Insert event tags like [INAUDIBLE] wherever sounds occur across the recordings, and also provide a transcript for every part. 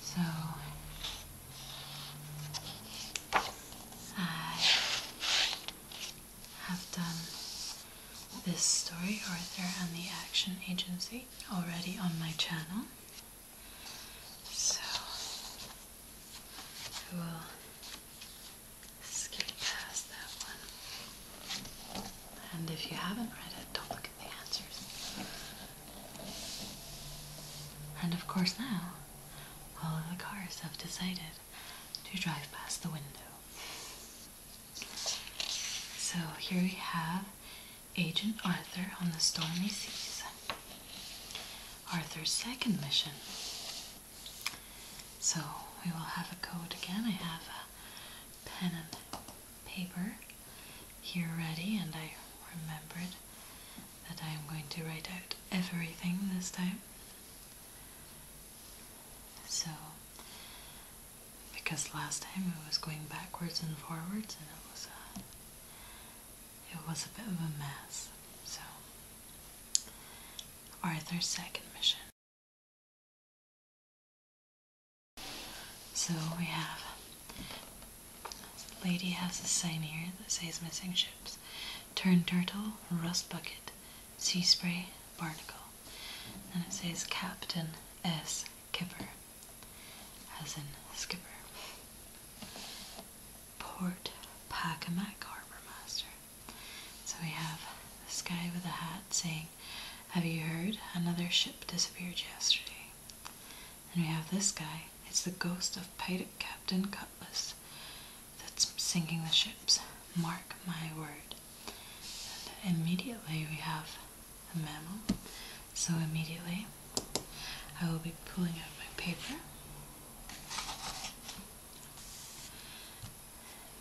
So I have done this story, Arthur and the Action Agency, already on my channel. So I will skip past that one. And if you haven't read it, don't the answers. And of course now, all of the cars have decided to drive past the window. So here we have Agent Arthur on the Stormy Seas. Arthur's second mission. So we will have a code again. I have a pen and paper here ready and I remembered that I am going to write out everything this time. So, because last time it was going backwards and forwards and it was a, it was a bit of a mess. So, Arthur's second mission. So we have lady has a sign here that says missing ships. Turn turtle, rust bucket, sea spray, barnacle. And it says Captain S. Kipper. As in skipper. Port Pacamac Harbor Master. So we have this guy with a hat saying, Have you heard? Another ship disappeared yesterday. And we have this guy. It's the ghost of Pirate Captain Cutlass that's sinking the ships. Mark my word. And immediately we have a mammal. So immediately I will be pulling out my paper.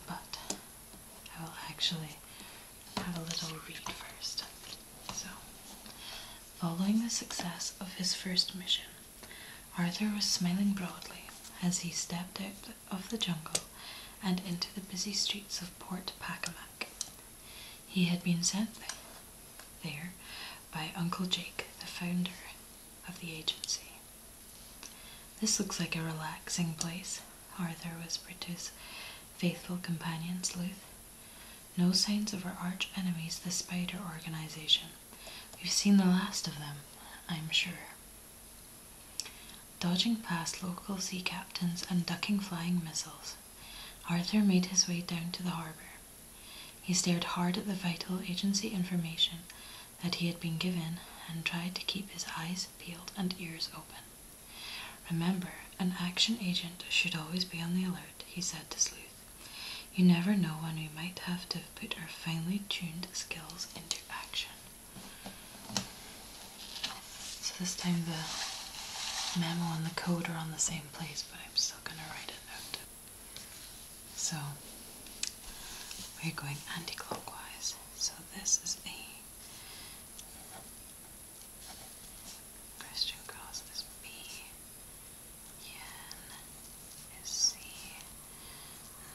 But I will actually have a little read first. So, following the success of his first mission, Arthur was smiling broadly as he stepped out of the jungle and into the busy streets of Port Pacomac. He had been sent there by Uncle Jake, the founder of the agency. This looks like a relaxing place, Arthur whispered to his faithful companion Sleuth. No signs of our arch enemies, the Spider Organization. We've seen the last of them, I'm sure. Dodging past local sea captains and ducking flying missiles, Arthur made his way down to the harbour. He stared hard at the vital agency information that he had been given and tried to keep his eyes peeled and ears open. Remember, an action agent should always be on the alert, he said to Sleuth. You never know when we might have to put our finely tuned skills into action. So this time the memo and the code are on the same place, but I'm still going to write it out. So we're going anti-clockwise. So this is a Christian cost is B.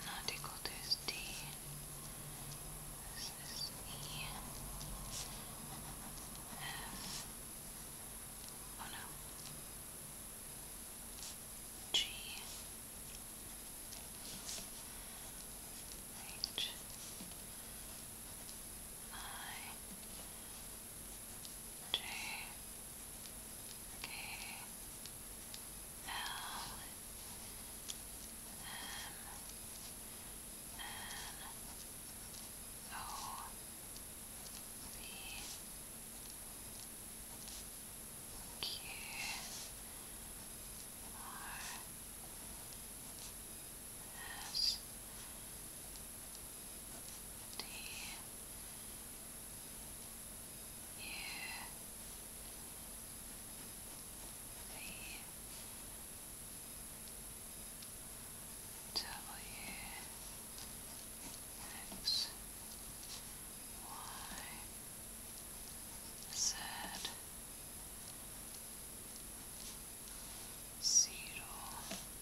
Not equal to D. This is E. F. Oh no. G. H nine, J, K, L, M, N, O, B, Q, R, S, T, do you Y Z zero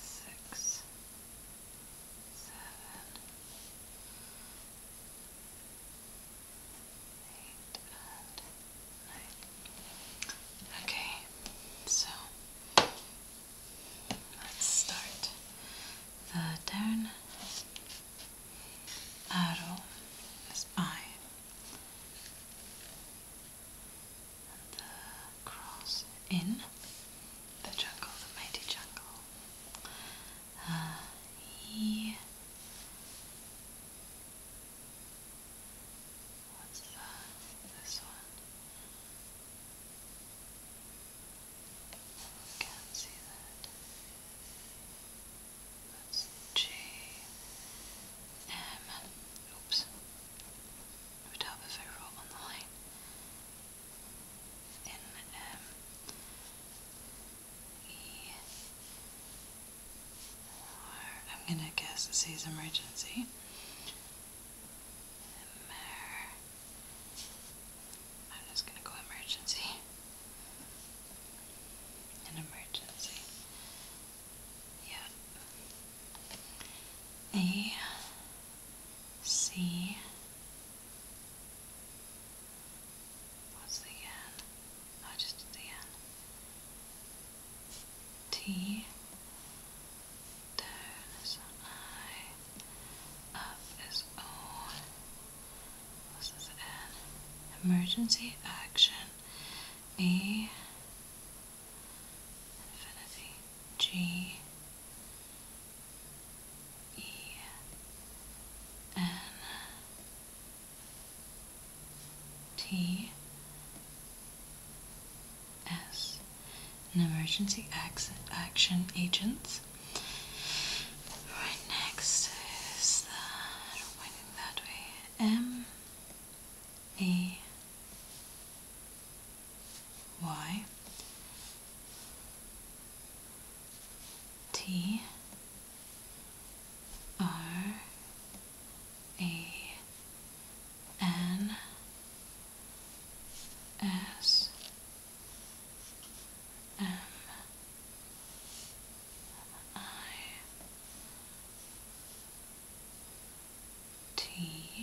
six, seven, eight, Okay, so let's start the down arrow is I the cross in the jungle, the mighty jungle. Uh, he. What's that? This one. Can't see that. That's J M. Oops. would help if I on the line in um, I'm gonna guess it says emergency. Mer am just gonna go emergency. An emergency. Yeah. A C. What's the N? No, just the N. T. Down is I. Up is O. This is N. Emergency action. A. Infinity. G. E N T S and emergency action agents. Right next is the pointing that way. M E y t r a n s m i T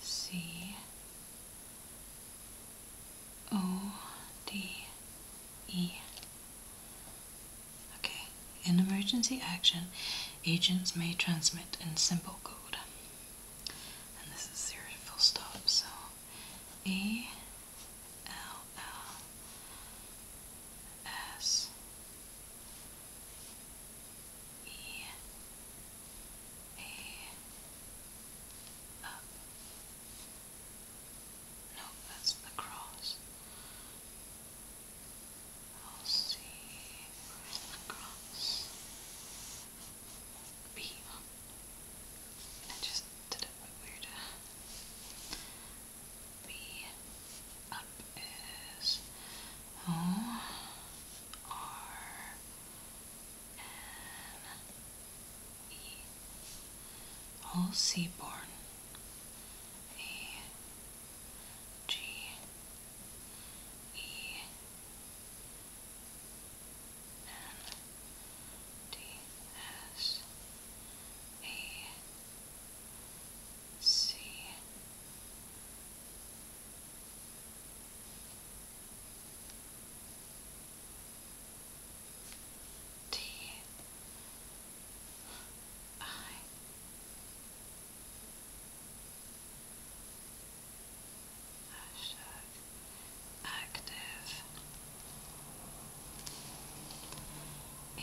C O D E. Okay, in emergency action, agents may transmit in simple code. And this is your full stop, so A L L S E A up. No, that's the cross. I'll see where's the cross. B. Huh? I just did it weird. Uh, B up is oh R N E. All seaborne. A G E N D S A C D I Hashtag active in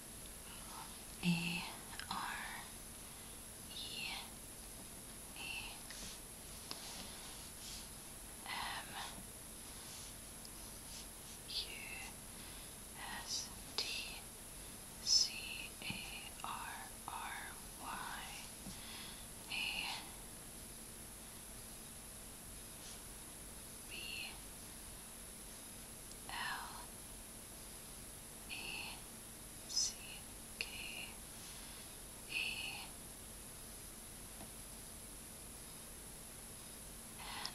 A R E A M Q S T C A R R Y A B L E C K E N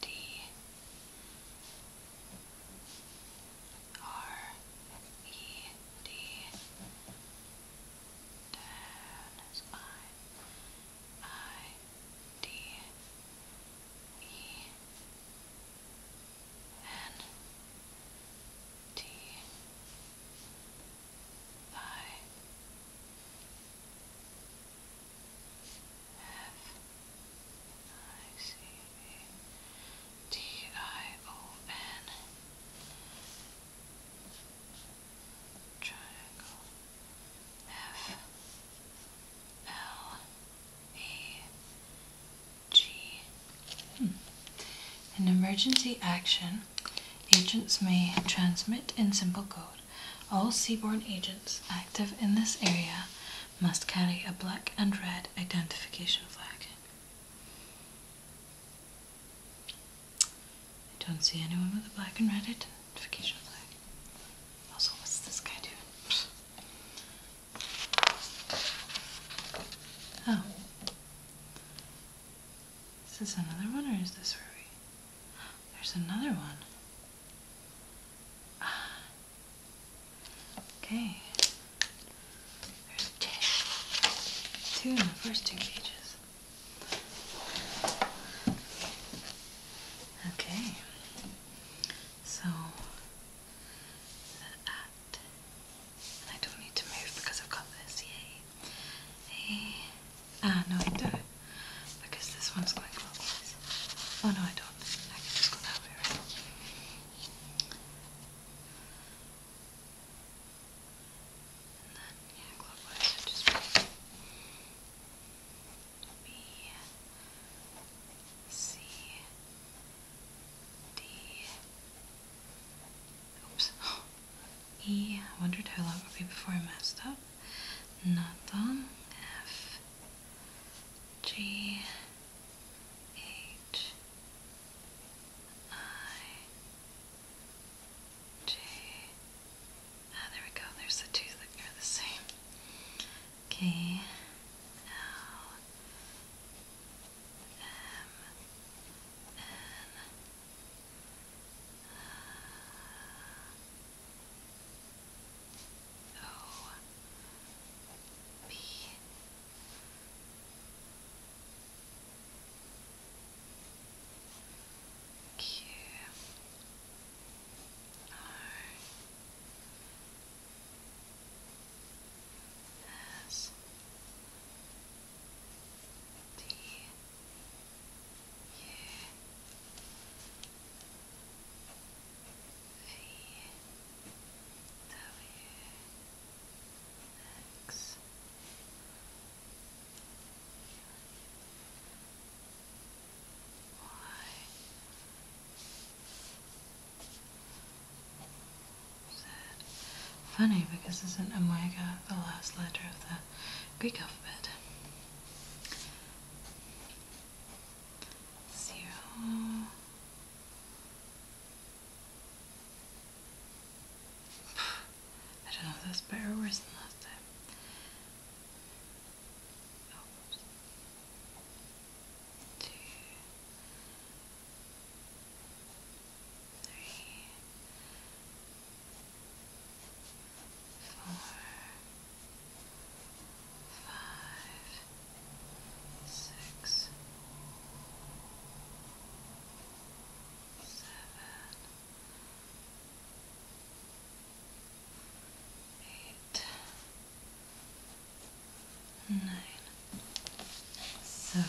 D R E D. Down I D E N T I F I C A T I O N Triangle F L A G. In hmm. emergency action, agents may transmit in simple code. All seaborne agents active in this area must carry a black and red identification flag. I don't see anyone with a black and red it notification Also, what's this guy doing? [LAUGHS] Oh. Is this another one or is this Ruby? There's another one. Ah. [SIGHS] Okay. There's two. in the first two pages. Okay. So that, and I don't need to move because I've got this. Yay! Hey, ah no, I do because this one's going clockwise. Oh no, I don't. I just go that way, And then yeah, clockwise. B, C, D, oops, [GASPS] E, I wondered how long it would be before I messed up, not long, F, G, H, I, J, Ah, there we go. There's the two that are the same. Okay. Now, M, N, no. There's D U V W X. Funny because isn't omega the last letter of the Greek alphabet? Zero. [SIGHS] I don't know if that's better worse than last time. Oops. Two, three, four, five, six, seven. Eight, eight, nine. So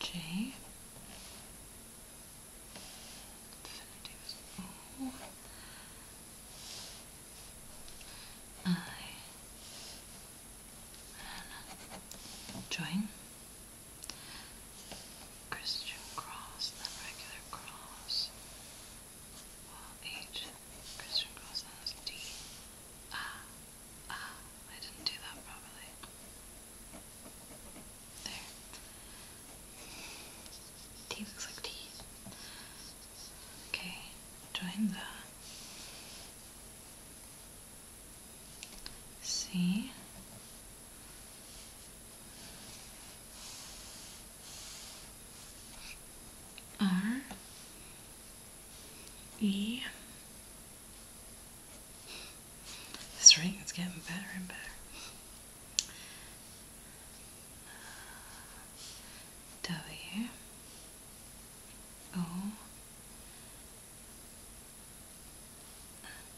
J infinity was O I and join Christian cross and regular cross. Well, H, Christian cross, and D. Ah, ah, I didn't do that properly. There. D looks like T. Okay, join the C R E. This ring is getting better and better. W O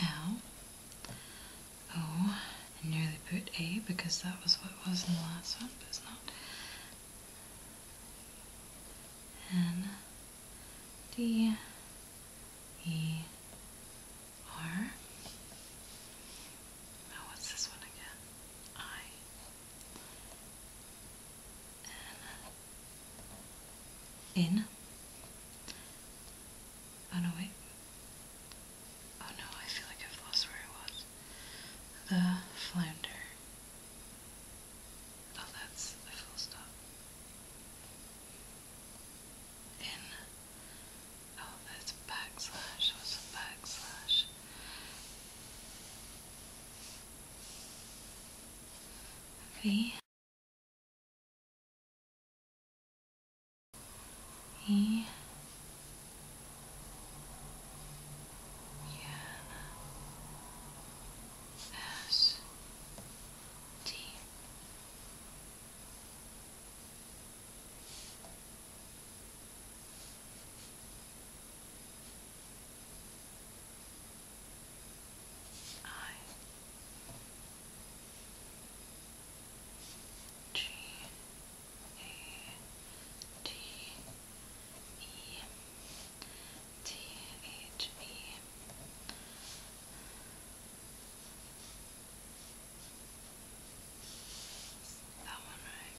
L. O. I nearly put A because that was what was in the last one, but it's not. N. D. E. R. Oh, what's this one again? I in. Oh no, wait. Oh no, I feel like I've lost where I was. The flounder. Oh, that's a full stop. In. Oh, that's backslash. What's a backslash? V. E. N. S. T. I G A T E T H E that one right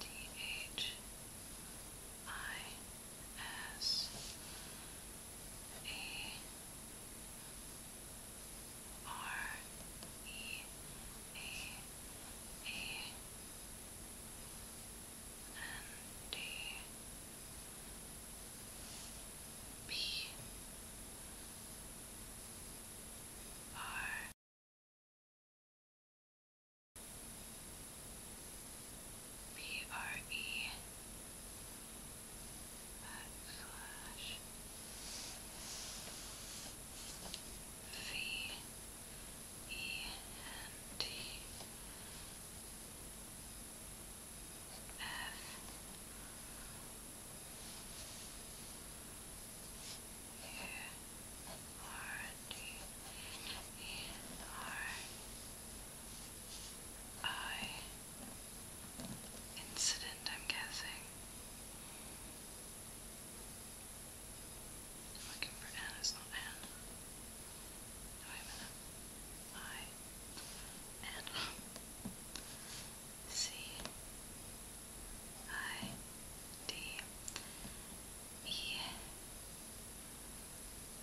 T H I S A R E A A N D P R B R E backslash V E N T F I incident, I'm guessing. I'm looking for N, it's not N. No, wait a minute. I N C I D E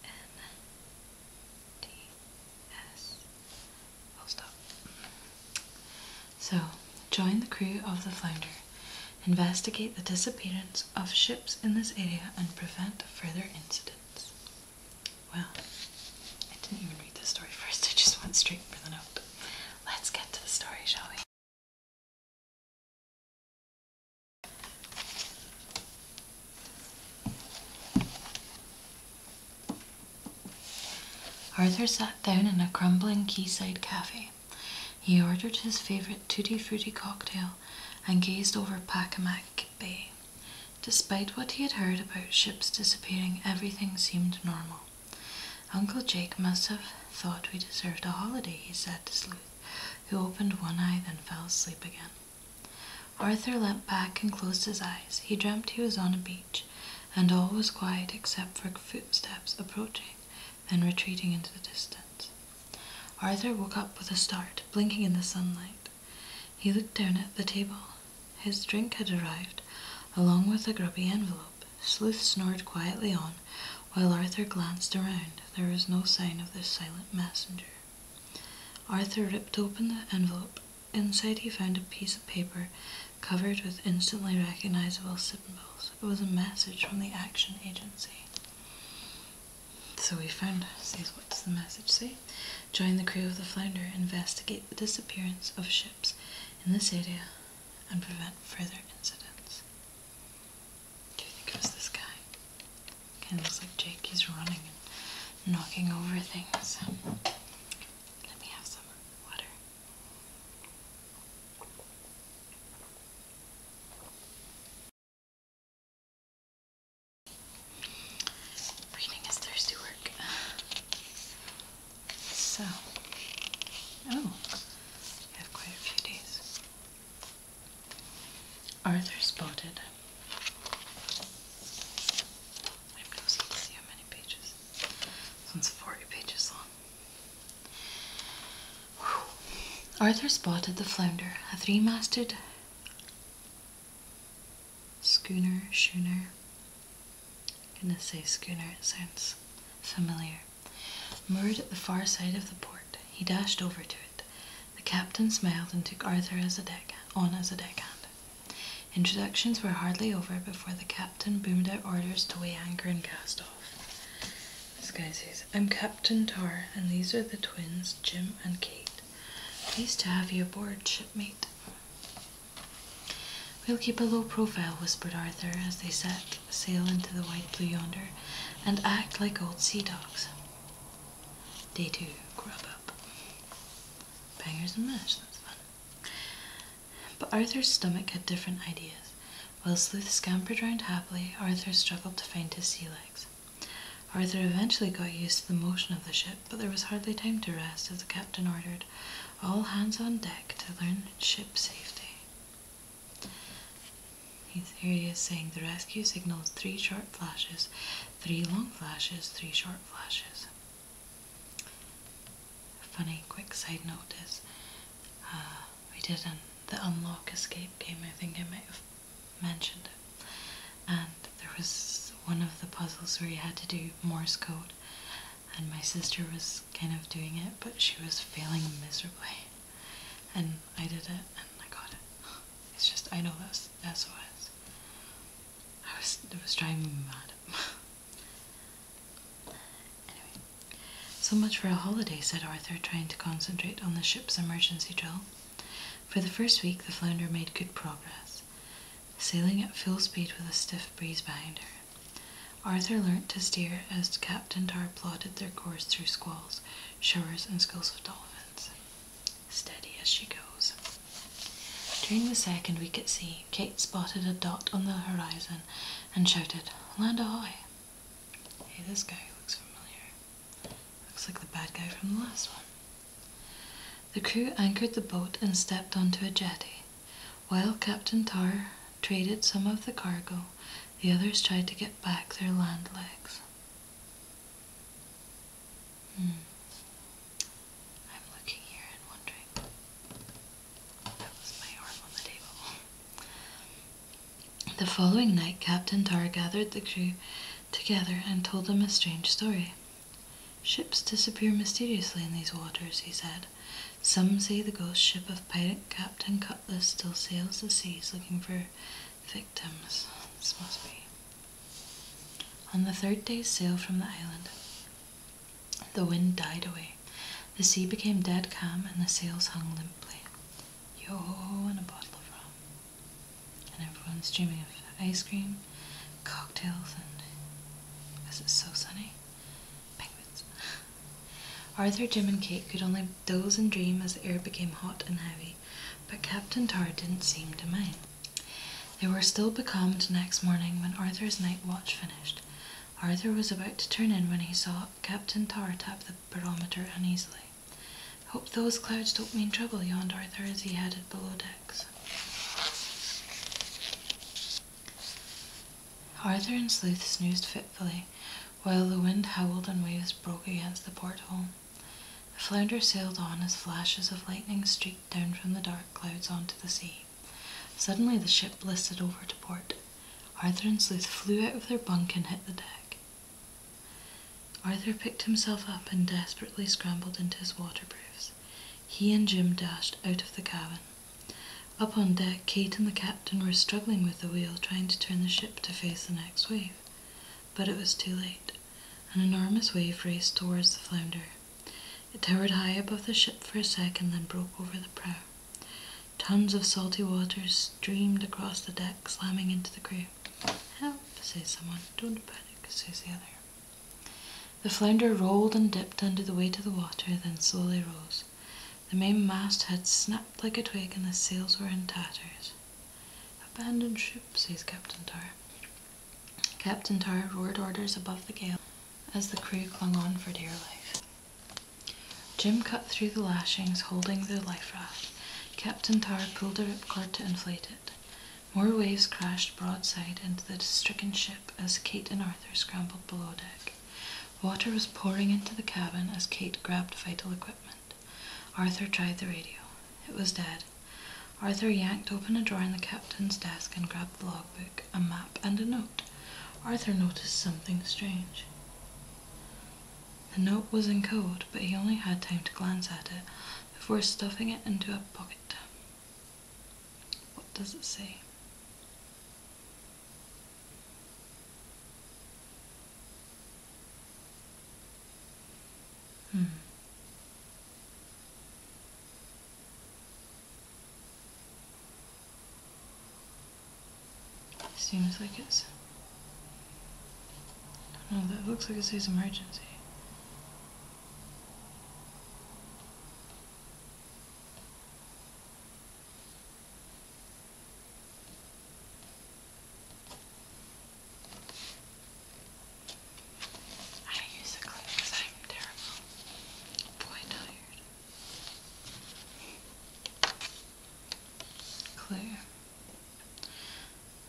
N D S. I'll stop. So, join the crew of the Flounder. Investigate the disappearance of ships in this area and prevent further incidents. Well, I didn't even read the story [LAUGHS] first, I just went straight for the note. Let's get to the story, shall we? Arthur sat down in a crumbling quayside cafe. He ordered his favourite tutti frutti cocktail and gazed over Pacomac Bay. Despite what he had heard about ships disappearing, everything seemed normal. Uncle Jake must have thought we deserved a holiday, he said to Sleuth, who opened one eye then fell asleep again. Arthur leant back and closed his eyes. He dreamt he was on a beach, and all was quiet except for footsteps approaching, and retreating into the distance. Arthur woke up with a start, blinking in the sunlight. He looked down at the table. His drink had arrived, along with a grubby envelope. Sleuth snored quietly on, while Arthur glanced around. There was no sign of the silent messenger. Arthur ripped open the envelope. Inside, he found a piece of paper covered with instantly recognizable symbols. It was a message from the Action Agency. So we found says what does the message say? Join the crew of the Flounder, investigate the disappearance of ships in this area, and prevent further incidents. Do you think it was this guy? Kind of looks like Jake. He's running and knocking over things. Let me have some water. Reading is thirsty work. So, oh have quite a few days. Arthur spotted. I have no to see how many pages. This one's 40 pages long. Arthur spotted the flounder, a three-masted schooner, schooner. gonna say schooner, sounds familiar. Moored at the far side of the port, he dashed over to it. The captain smiled and took Arthur as a deck, on as a deckhand. Introductions were hardly over before the captain boomed out orders to weigh anchor and cast off. This guy says, I'm Captain Tar, and these are the twins, Jim and Kate. Pleased to have you aboard, shipmate. We'll keep a low profile, whispered Arthur as they sat sail into the white blue yonder, and act like old sea dogs. Day two, grub up. Bangers and mash, that's fun. But Arthur's stomach had different ideas. While Sleuth scampered round happily, Arthur struggled to find his sea legs. Arthur eventually got used to the motion of the ship, but there was hardly time to rest as the captain ordered all hands on deck to learn ship safety. He's here he is saying the rescue signals three short flashes, three long flashes, three short flashes. funny quick side note is uh, we did in the unlock escape game, I think I might have mentioned it. And there was one of the puzzles where you had to do Morse code, and my sister was kind of doing it, but she was failing miserably. [LAUGHS] And I did it and I got it. It's just, I know that's SOS. I was, it was driving me mad. [LAUGHS] anyway, so much for a holiday, said Arthur, trying to concentrate on the ship's emergency drill. For the first week, the Flounder made good progress, sailing at full speed with a stiff breeze behind her. Arthur learnt to steer as Captain Tar plotted their course through squalls, showers, and schools of dolphins. Steady as she goes. During the second week at sea, Kate spotted a dot on the horizon and shouted, Land ahoy! Hey, this guy looks familiar. Looks like the bad guy from the last one. The crew anchored the boat and stepped onto a jetty. While Captain Tar traded some of the cargo, the others tried to get back their land legs. Hmm. I'm looking here and wondering. That was my arm on the table. The following night, Captain Tar gathered the crew together and told them a strange story. Ships disappear mysteriously in these waters, he said. Some say the ghost ship of pirate Captain Cutlass still sails the seas looking for victims. This must be. On the third day's sail from the island, the wind died away. The sea became dead calm and the sails hung limply. Yo, and a bottle of rum. And everyone's dreaming of ice cream, cocktails, and this is so sunny, penguins. Arthur, Jim, and Kate could only doze and dream as the air became hot and heavy, but Captain Tar didn't seem to mind. They were still becalmed next morning when Arthur's night watch finished. Arthur was about to turn in when he saw Captain Tar tap the barometer uneasily. Hope those clouds don't mean trouble, yawned Arthur as he headed below decks. Arthur and Sleuth snoozed fitfully while the wind howled and waves broke against the port hole, The flounder sailed on as flashes of lightning streaked down from the dark clouds onto the sea. Suddenly the ship listed over to port. Arthur and Sleuth flew out of their bunk and hit the deck. Arthur picked himself up and desperately scrambled into his waterproofs. He and Jim dashed out of the cabin. Up on deck, Kate and the captain were struggling with the wheel, trying to turn the ship to face the next wave. But it was too late. An enormous wave raced towards the flounder. It towered high above the ship for a second, then broke over the prow. Tons of salty water streamed across the deck, slamming into the crew. Help, says someone. Don't panic, says the other. The flounder rolled and dipped under the weight of the water, then slowly rose. The mainmast had snapped like a twig and the sails were in tatters. Abandoned ship, says Captain Tar. Captain Tar roared orders above the gale as the crew clung on for dear life. Jim cut through the lashings holding the life raft. Captain Tar pulled a ripcord to inflate it. More waves crashed broadside into the stricken ship as Kate and Arthur scrambled below deck. Water was pouring into the cabin as Kate grabbed vital equipment. Arthur tried the radio. It was dead. Arthur yanked open a drawer in the captain's desk and grabbed the logbook, a map, and a note. Arthur noticed something strange. The note was in code, but he only had time to glance at it before stuffing it into a pocket. What does it say? Mm. Seems like it's. No, that looks like it says emergency. I use a clip because I'm terrible. Boy, tired. Clear.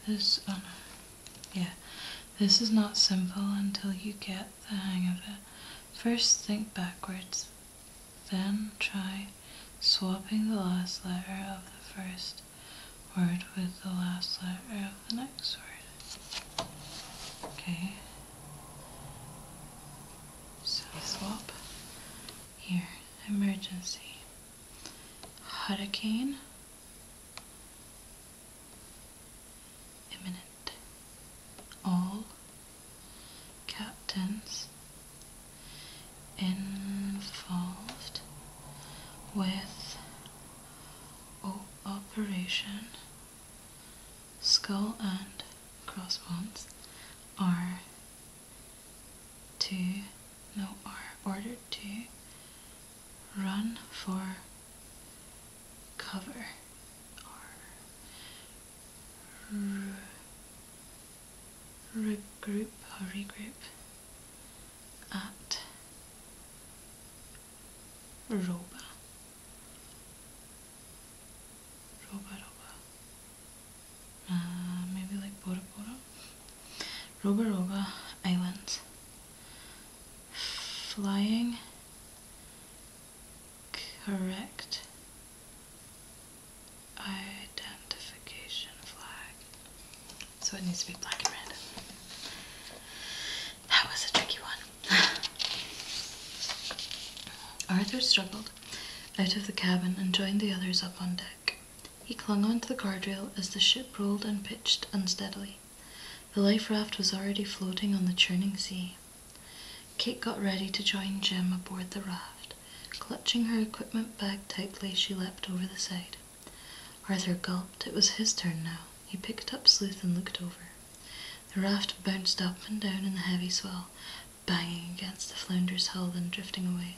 This, oh Yeah. This is not simple until you get the hang of it. First, think backwards. Then try swapping the last letter of the first word with the last letter of the next word. Okay. So swap. Here, emergency. Hurricane. Imminent. All captains involved with Operation Skull and Crossbones are to no are ordered to run for cover Mm. regroup or regroup at Roba. Roba, Roba. Uh, maybe like Bora Bora. Roba Roba Islands. Flying. Correct identification flag. So it needs to be black and red. That was a tricky one. [SIGHS] Arthur struggled out of the cabin and joined the others up on deck. He clung on to the guardrail as the ship rolled and pitched unsteadily. The life raft was already floating on the churning sea. Kate got ready to join Jim aboard the raft. Clutching her equipment bag tightly, she leapt over the side. Arthur gulped. It was his turn now. He picked up Sleuth and looked over. The raft bounced up and down in the heavy swell, banging against the flounder's hull, and drifting away.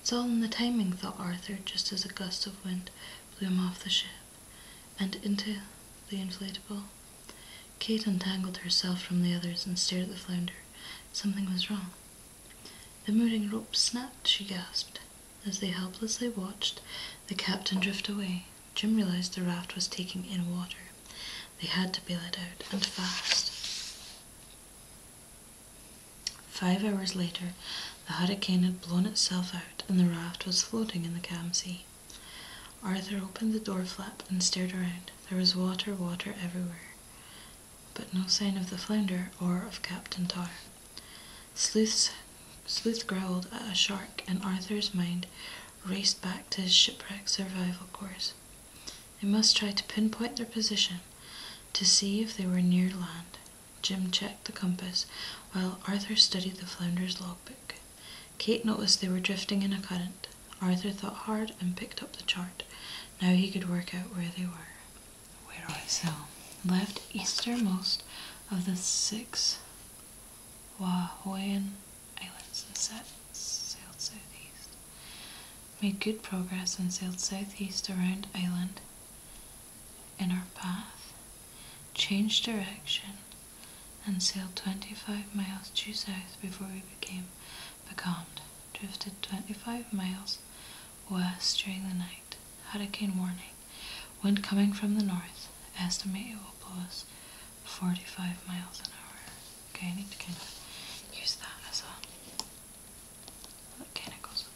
It's all in the timing, thought Arthur, just as a gust of wind blew him off the ship and into the inflatable. Kate untangled herself from the others and stared at the flounder. Something was wrong. The mooring rope snapped, she gasped. As they helplessly watched the captain drift away, Jim realized the raft was taking in water. They had to bail it out, and fast. Five hours later, the hurricane had blown itself out, and the raft was floating in the calm sea. Arthur opened the door flap and stared around. There was water, water everywhere but no sign of the flounder or of Captain Tar. Sleuth's, Sleuth growled at a shark, and Arthur's mind raced back to his shipwreck survival course. They must try to pinpoint their position to see if they were near land. Jim checked the compass while Arthur studied the flounder's logbook. Kate noticed they were drifting in a current. Arthur thought hard and picked up the chart. Now he could work out where they were. Where are they? So, left easternmost of the six Wahoyan Islands and set, sailed southeast. Made good progress and sailed southeast around island. In our path, changed direction and sailed 25 miles due south before we became becalmed drifted 25 miles west during the night. Hurricane warning. Wind coming from the north. Estimate it will blow us 45 miles an hour. Okay, I need to kind of use that as a. It kind of goes with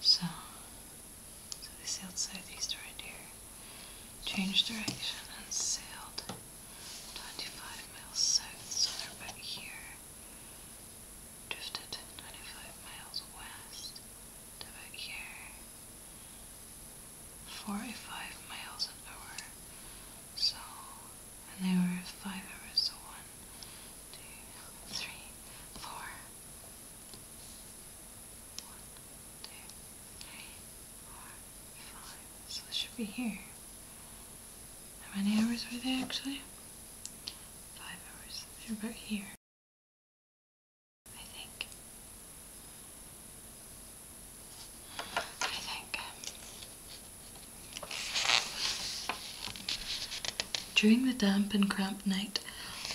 So, so they sailed southeast around here, changed direction, and sailed 25 miles south, so they're about here. Drifted 25 miles west to about here. 45 miles an hour. So, and they were 5 hours, so one, two, three, 2, four, five. So this should be here. How many hours were they actually? Five hours. They're about here. I think. I think. During the damp and cramped night,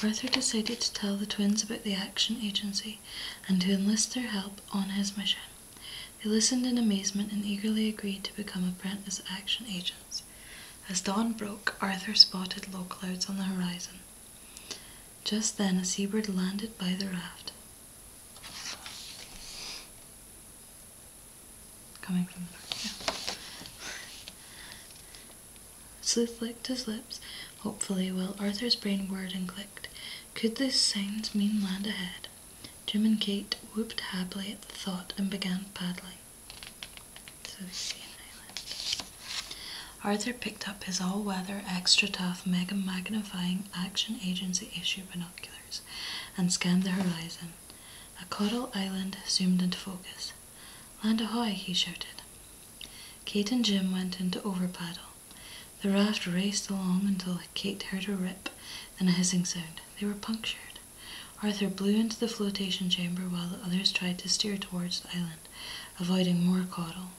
Arthur decided to tell the twins about the Action Agency and to enlist their help on his mission. They listened in amazement and eagerly agreed to become apprentice action agents. As dawn broke, Arthur spotted low clouds on the horizon. Just then, a seabird landed by the raft, coming from the back. Sleuth licked his lips, hopefully, while Arthur's brain whirred and clicked. Could these signs mean land ahead? Jim and Kate whooped happily at the thought and began paddling. So they island. Arthur picked up his all-weather, extra-tough, mega-magnifying action agency issue binoculars and scanned the horizon. A coral island zoomed into focus. Land ahoy, he shouted. Kate and Jim went into paddle. The raft raced along until Kate heard a rip, then a hissing sound. They were punctured. Arthur blew into the flotation chamber while the others tried to steer towards the island, avoiding more caudal.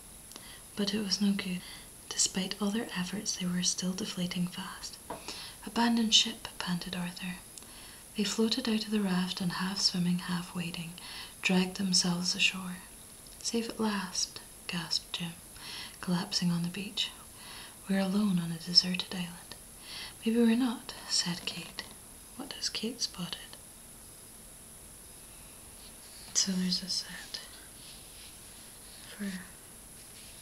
But it was no good. Despite all their efforts, they were still deflating fast. Abandon ship, panted Arthur. They floated out of the raft and half swimming, half wading, dragged themselves ashore. Safe at last, gasped Jim, collapsing on the beach. We're alone on a deserted island. Maybe we're not, said Kate. What has Kate spotted? So there's a set for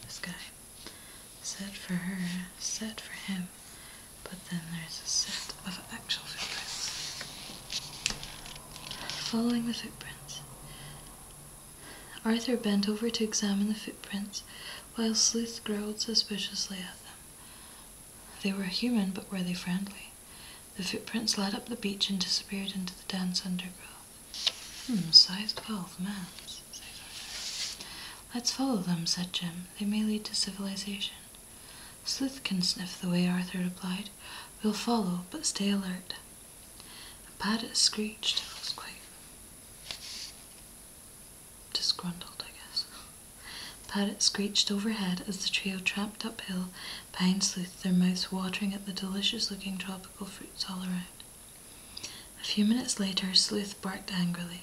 this guy, set for her, set for him, but then there's a set of actual footprints. Following the footprints, Arthur bent over to examine the footprints, while Sleuth growled suspiciously at them. They were human, but were they friendly? The footprints led up the beach and disappeared into the dense undergrowth. Hmm, size 12, man's, said Arthur. Let's follow them, said Jim. They may lead to civilization. Sleuth can sniff the way, Arthur replied. We'll follow, but stay alert. A parrot screeched. It was quite disgruntled, I guess. A parrot screeched overhead as the trio tramped uphill Pine Sleuth, their mouths watering at the delicious looking tropical fruits all around. A few minutes later, Sleuth barked angrily.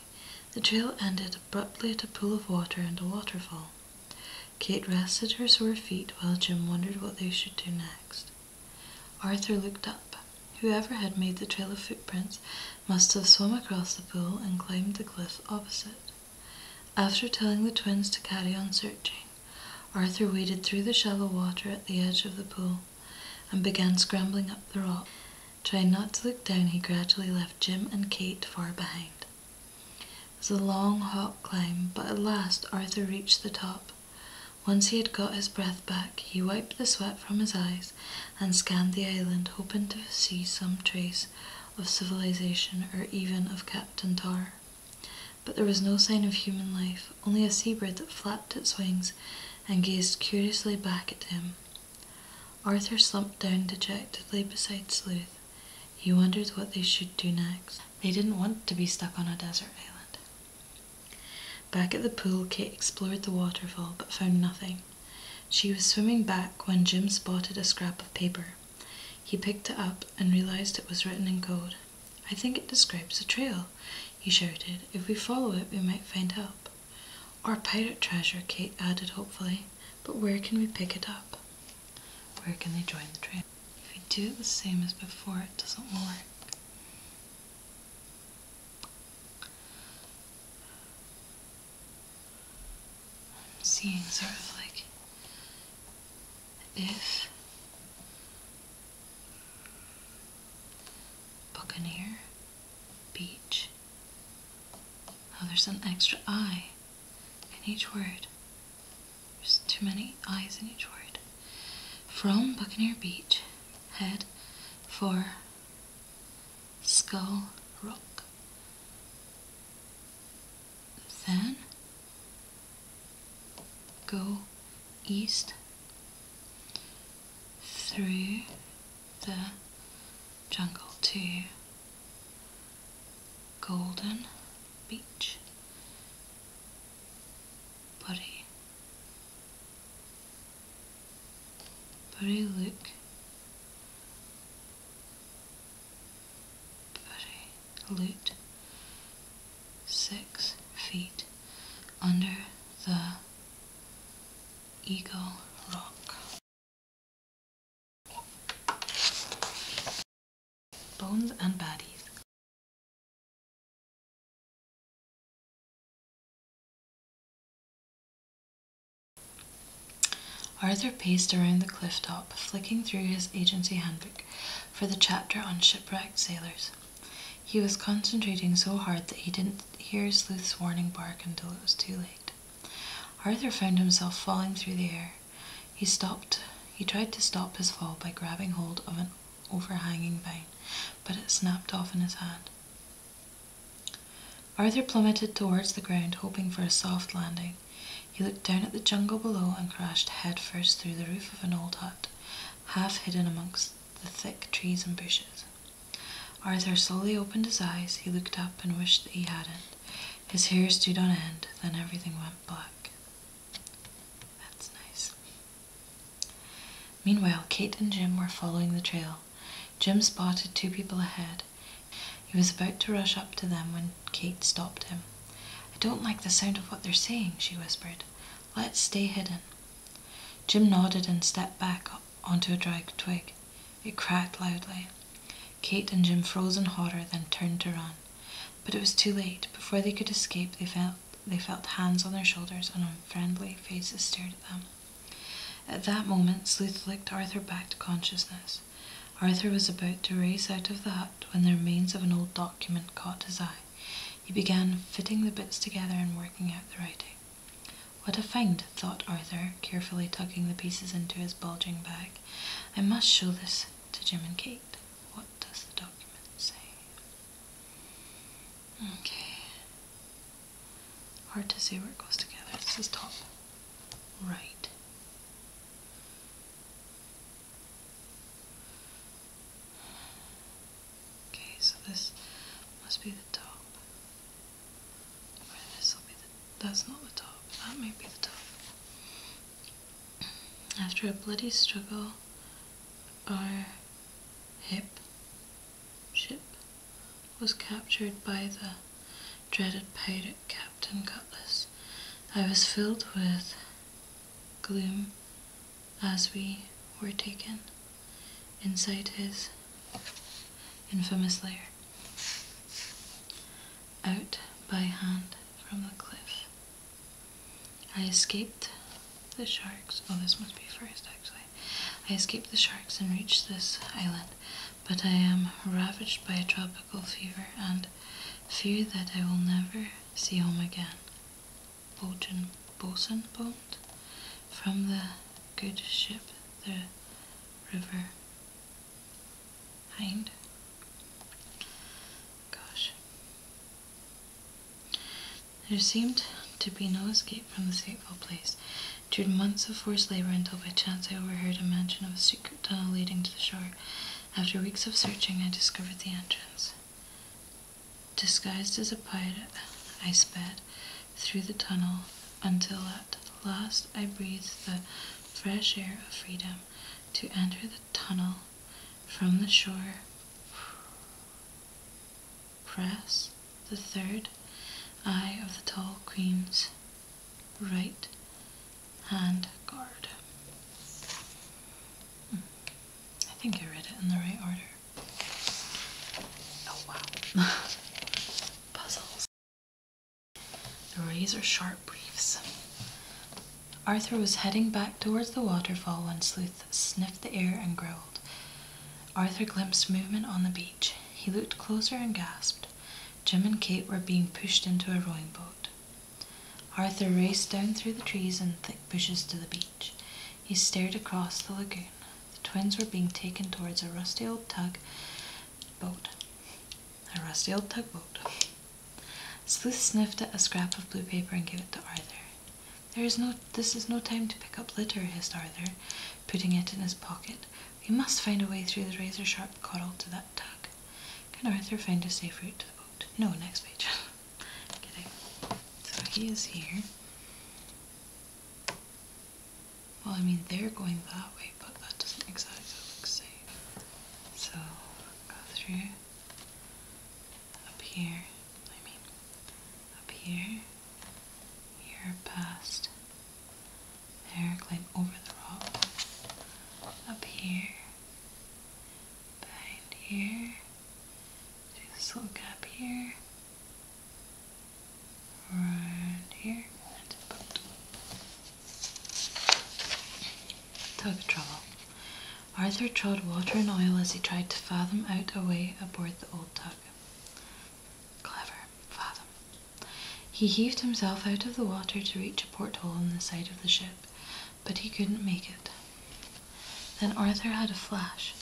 The trail ended abruptly at a pool of water and a waterfall. Kate rested her sore feet while Jim wondered what they should do next. Arthur looked up. Whoever had made the trail of footprints must have swum across the pool and climbed the cliff opposite. After telling the twins to carry on searching, Arthur waded through the shallow water at the edge of the pool and began scrambling up the rock. Trying not to look down, he gradually left Jim and Kate far behind. It was a long, hot climb, but at last Arthur reached the top once he had got his breath back, he wiped the sweat from his eyes and scanned the island, hoping to see some trace of civilization or even of Captain Tar. But there was no sign of human life, only a seabird that flapped its wings and gazed curiously back at him. Arthur slumped down dejectedly beside Sleuth. He wondered what they should do next. They didn't want to be stuck on a desert island. Back at the pool, Kate explored the waterfall but found nothing. She was swimming back when Jim spotted a scrap of paper. He picked it up and realized it was written in code. I think it describes a trail, he shouted. If we follow it, we might find help. Or pirate treasure, Kate added hopefully. But where can we pick it up? Where can they join the trail? If we do it the same as before, it doesn't work seeing sort of like if Buccaneer Beach. Oh, there's an extra I in each word. There's too many I's in each word. From Buccaneer Beach head for skull rock. Then go east through the jungle to Golden Beach. Buddy but I look. But six feet under the Eagle Rock. Bones and Bodies Arthur paced around the cliff top, flicking through his agency handbook for the chapter on shipwrecked sailors. He was concentrating so hard that he didn't hear Sleuth's warning bark until it was too late. Arthur found himself falling through the air. He stopped. He tried to stop his fall by grabbing hold of an overhanging vine, but it snapped off in his hand. Arthur plummeted towards the ground, hoping for a soft landing. He looked down at the jungle below and crashed headfirst through the roof of an old hut, half hidden amongst the thick trees and bushes. Arthur slowly opened his eyes. He looked up and wished that he hadn't. His hair stood on end, then everything went black. That's nice. Meanwhile, Kate and Jim were following the trail. Jim spotted two people ahead. He was about to rush up to them when Kate stopped him. I don't like the sound of what they're saying, she whispered. Let's stay hidden. Jim nodded and stepped back onto a dry twig. It cracked loudly. Kate and Jim froze in horror, then turned to run. But it was too late. Before they could escape, they fell they felt hands on their shoulders and unfriendly faces stared at them. At that moment, Sleuth licked Arthur back to consciousness. Arthur was about to race out of the hut when the remains of an old document caught his eye. He began fitting the bits together and working out the writing. What a find, thought Arthur, carefully tucking the pieces into his bulging bag. I must show this to Jim and Kate. What does the document say? Okay. Hard to see where it goes together. This is top right. Okay, so this must be the top. Or this will be the. That's not the top. That may be the top. After a bloody struggle, I hip ship was captured by the dreaded pirate Captain Cutlass. I was filled with gloom as we were taken inside his infamous lair. Out by hand from the cliff. I escaped the sharks. Oh, this must be first, actually. I escaped the sharks and reached this island, but I am ravaged by a tropical fever and fear that I will never see home again. Bojan, bosun boned from the good ship, the river hind. Gosh. There seemed to be no escape from this hateful place. During months of forced labor, until by chance I overheard a mention of a secret tunnel leading to the shore. After weeks of searching, I discovered the entrance. Disguised as a pirate, I sped through the tunnel until at last I breathed the fresh air of freedom. To enter the tunnel from the shore press the third eye of the tall queen's right hand guard. Hmm. I think I read it in the right order. Oh wow. [LAUGHS] Puzzles. Razor sharp briefs. Arthur was heading back towards the waterfall when Sleuth sniffed the air and growled. Arthur glimpsed movement on the beach. He looked closer and gasped. Jim and Kate were being pushed into a rowing boat. Arthur raced down through the trees and thick bushes to the beach. He stared across the lagoon. The twins were being taken towards a rusty old tug boat. A rusty old tug boat. Sleuth sniffed at a scrap of blue paper and gave it to Arthur. There is no, this is no time to pick up litter, hissed Arthur, putting it in his pocket. We must find a way through the razor sharp coral to that tug. Can Arthur find a safe route to the boat? No, next page. [LAUGHS] So he is here. Well, I mean, they're going that way, but that doesn't exactly look safe. So, go through. Up here. I mean, up here. Here past there, climb over the rock. Up here. Behind here. Do this little gap here. Around here. Tug trouble. Arthur trod water and oil as he tried to fathom out a way aboard the old tower. Clever, Fathom. He heaved himself out of the water to reach a porthole in the side of the ship, but he couldn't make it. Then Arthur had a flash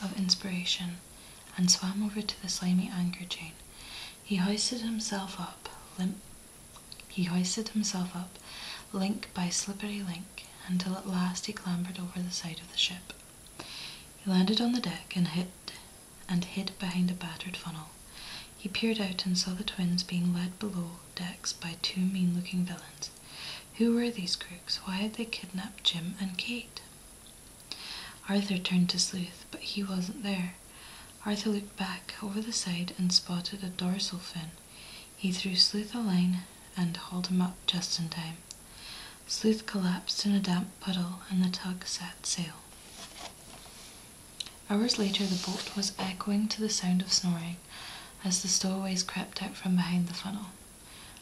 of inspiration and swam over to the slimy anchor chain. He hoisted himself up, limp. He hoisted himself up, link by slippery link, until at last he clambered over the side of the ship. He landed on the deck and hid, and hid behind a battered funnel. He peered out and saw the twins being led below decks by two mean looking villains. Who were these crooks? Why had they kidnapped Jim and Kate? Arthur turned to Sleuth, but he wasn't there. Arthur looked back over the side and spotted a dorsal fin. He threw Sleuth a line and hauled him up just in time. Sleuth collapsed in a damp puddle and the tug set sail. Hours later, the boat was echoing to the sound of snoring as the stowaways crept out from behind the funnel.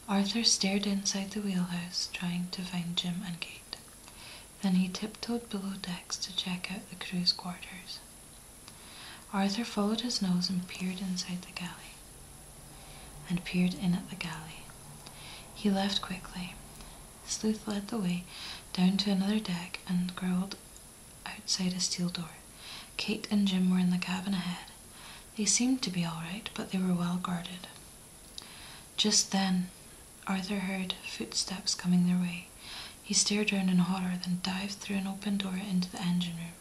Arthur stared inside the wheelhouse, trying to find Jim and Kate. Then he tiptoed below decks to check out the crew's quarters. Arthur followed his nose and peered inside the galley and peered in at the galley. He left quickly. Sleuth led the way down to another deck and growled outside a steel door. Kate and Jim were in the cabin ahead. They seemed to be all right, but they were well guarded. Just then, Arthur heard footsteps coming their way. He stared round in horror, then dived through an open door into the engine room.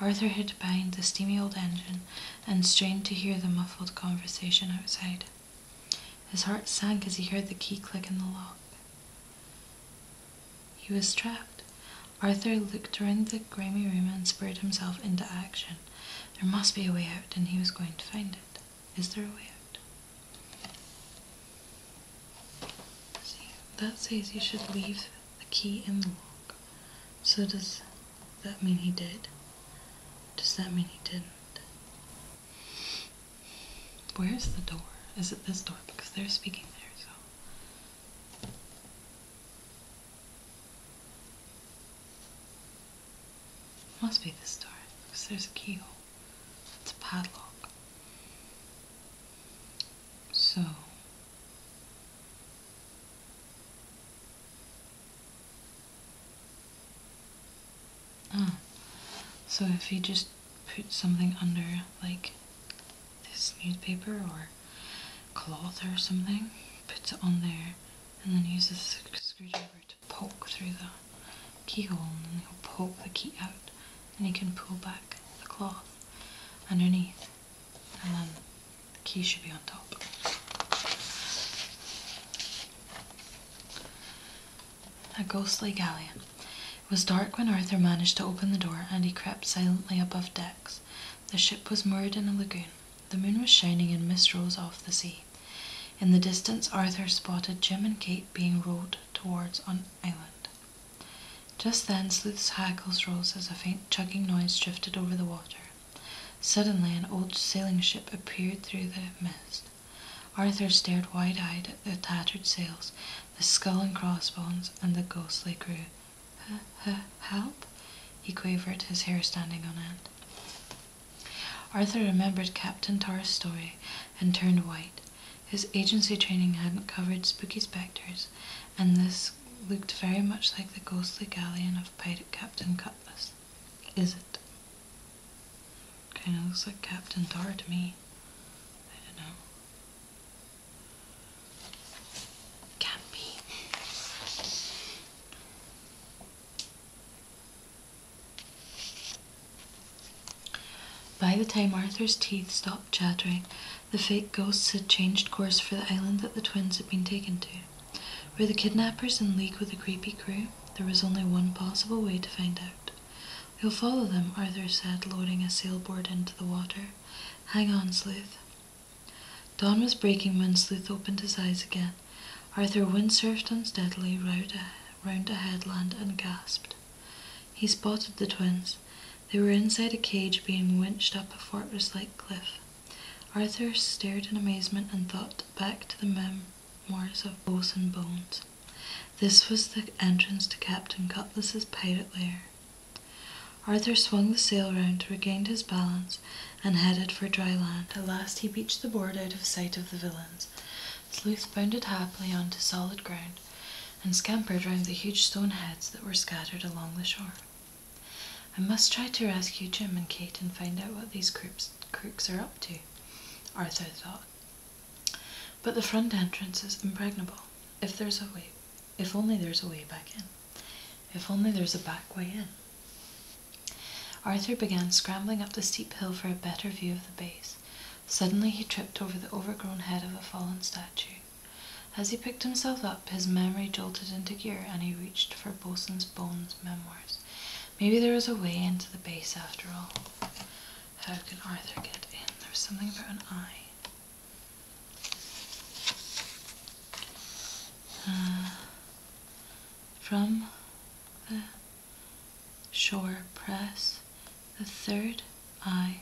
Arthur hid behind the steamy old engine and strained to hear the muffled conversation outside. His heart sank as he heard the key click in the lock. He was trapped. Arthur looked around the grimy room and spurred himself into action. There must be a way out, and he was going to find it. Is there a way out? See, that says you should leave the key in the lock. So does that mean he did? Does that mean he didn't? Where's the door? Is it this door? Because they're speaking there, so. Must be this door, because there's a keyhole. It's a padlock. So. Ah, so if you just put something under, like this newspaper or cloth or something, puts it on there, and then use a screwdriver to poke through the keyhole, and then he'll poke the key out, and he can pull back the cloth underneath and then the key should be on top. A ghostly galleon. It was dark when Arthur managed to open the door, and he crept silently above decks. The ship was moored in a lagoon. The moon was shining and mist rose off the sea. In the distance, Arthur spotted Jim and Kate being rowed towards an island. Just then, Sleuth's hackles rose as a faint chugging noise drifted over the water. Suddenly, an old sailing ship appeared through the mist. Arthur stared wide eyed at the tattered sails, the skull and crossbones, and the ghostly crew. Help? he quavered, his hair standing on end. Arthur remembered Captain Tar's story and turned white. His agency training hadn't covered spooky specters, and this looked very much like the ghostly galleon of pirate Captain Cutlass. Is it? Kind of looks like Captain Tar to me. I don't know. can By the time Arthur's teeth stopped chattering, the fake ghosts had changed course for the island that the twins had been taken to. Were the kidnappers in league with the creepy crew? There was only one possible way to find out. We'll follow them, Arthur said, loading a sailboard into the water. Hang on, Sleuth. Dawn was breaking when Sleuth opened his eyes again. Arthur windsurfed unsteadily round a, round a headland and gasped. He spotted the twins. They were inside a cage being winched up a fortress like cliff. Arthur stared in amazement and thought back to the memoirs of Bows and Bones. This was the entrance to Captain Cutlass's pirate lair. Arthur swung the sail round, regained his balance, and headed for dry land. At last he beached the board out of sight of the villains. Sleuth bounded happily onto solid ground and scampered round the huge stone heads that were scattered along the shore. I must try to rescue Jim and Kate and find out what these crooks, are up to, Arthur thought. But the front entrance is impregnable. If there's a way, if only there's a way back in. If only there's a back way in. Arthur began scrambling up the steep hill for a better view of the base. Suddenly he tripped over the overgrown head of a fallen statue. As he picked himself up, his memory jolted into gear and he reached for for Bosun's Bones memoirs. Maybe there is a way into the base after all. How can Arthur get in? There's something about an eye. Hmm. from the shore press, the third eye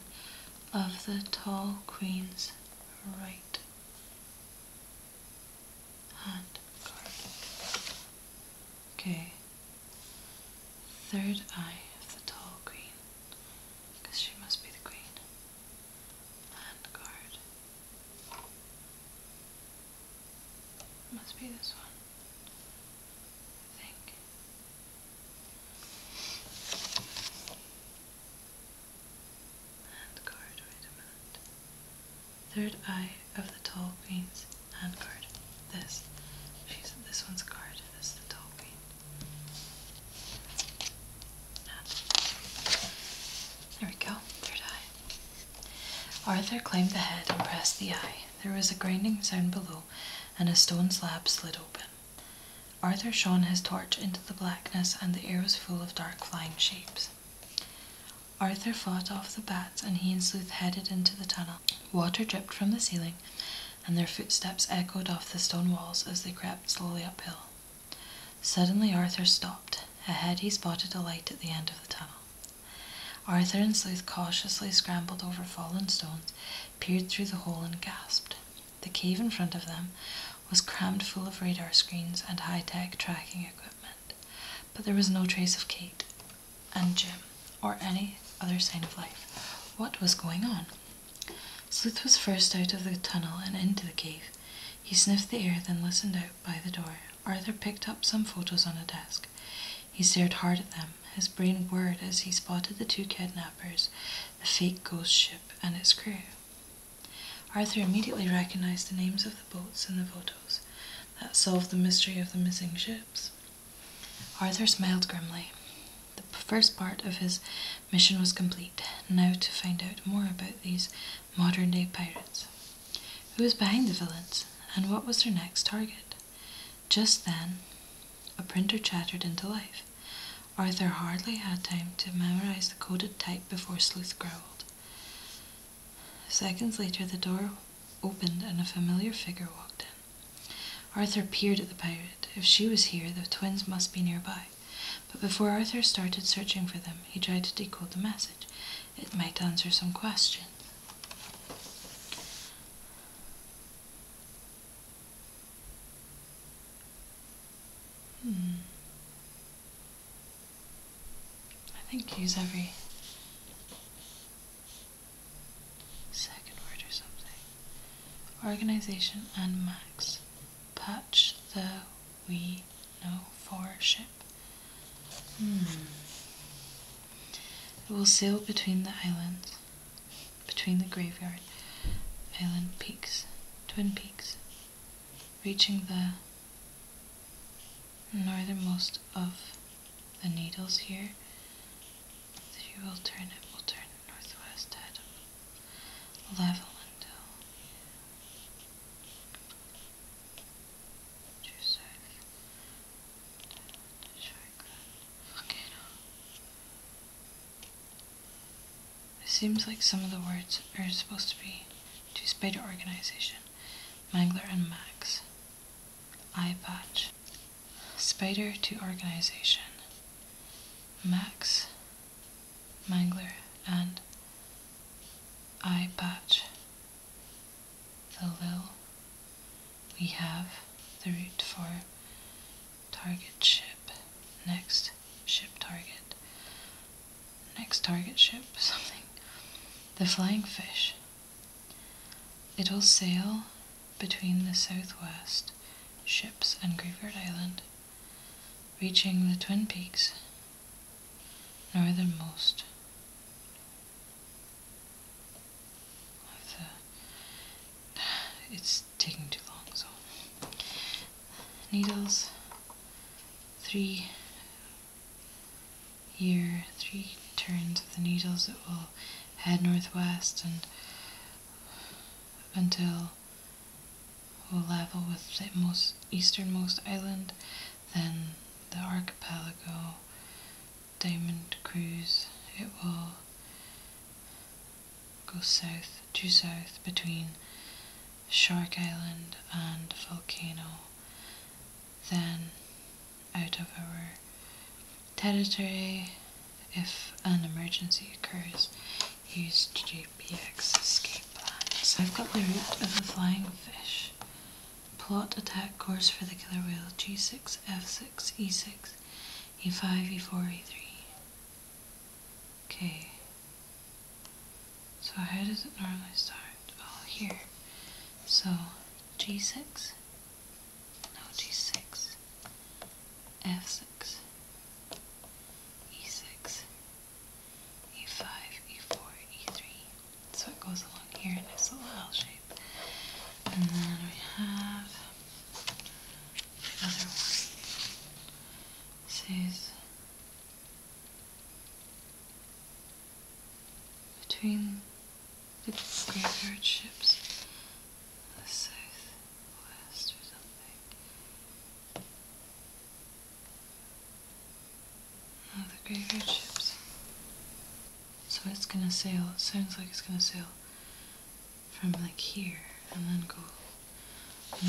of the tall queen's right and garlic. Okay, third eye of the tall queen, because she must be the queen. Land guard. Must be this one, I think hand guard, wait a minute. Third eye of the tall queen's hand guard. This. She's this one's guard. This is the tall queen. Hand. There we go. Third eye. Arthur claimed the head and pressed the eye. There was a grinding sound below, and a stone slab slid open. Arthur shone his torch into the blackness, and the air was full of dark flying shapes. Arthur fought off the bats, and he and Sleuth headed into the tunnel. Water dripped from the ceiling, and their footsteps echoed off the stone walls as they crept slowly uphill. Suddenly, Arthur stopped. Ahead, he spotted a light at the end of the tunnel. Arthur and Sleuth cautiously scrambled over fallen stones, peered through the hole, and gasped. The cave in front of them was crammed full of radar screens and high tech tracking equipment but there was no trace of Kate and Jim or any other sign of life. What was going on? Sleuth was first out of the tunnel and into the cave. He sniffed the air, then listened out by the door. Arthur picked up some photos on a desk. He stared hard at them. His brain whirred as he spotted the two kidnappers, the fake ghost ship, and its crew. Arthur immediately recognized the names of the boats and the photos. That solved the mystery of the missing ships. Arthur smiled grimly. The first part of his mission was complete. Now to find out more about these modern day pirates. Who was behind the villains, and what was their next target? Just then, a printer chattered into life. Arthur hardly had time to memorize the coded type before Sleuth growled. Seconds later, the door opened and a familiar figure walked in. Arthur peered at the pirate. If she was here, the twins must be nearby. But before Arthur started searching for them, he tried to decode the message. It might answer some questions. Hmm. I think use every second word or something. Organization and max. Patch the we know for ship. Hmm. It will sail between the islands, between the graveyard, island peaks, twin peaks, reaching the Northernmost of the needles here. If you will turn it, will turn northwest at level until Joseph volcano. It seems like some of the words are supposed to be to spider organization. Mangler and Max. Eye patch. Spider to organization. Max, Mangler, and Eye patch. The lil. We have the route for target ship. Next, ship target next target ship something. The flying fish. It'll sail between the southwest ships and Greyford Island, reaching the Twin Peaks, northernmost It's taking too long, so. Needles, three here, three turns of the needles that will head northwest and until we'll level with the most easternmost island, then the archipelago diamond cruise. It will go south to south between Shark Island and Volcano. Then out of our territory if an emergency occurs, use GPX escape plan. I've got the route of the flying fish. Plot attack course for the killer whale G6, F6, E6, E5, E4, E3. Okay. So how does it normally start? Oh, here. So G6, no G6, F6, E6, E5, E4, E3. So it goes along here in this little L shape. And then we have the other one. says between the graveyard ships the southwest or something. No, oh, the graveyard ships. So it's gonna sail, it sounds like it's gonna sail from like here and then go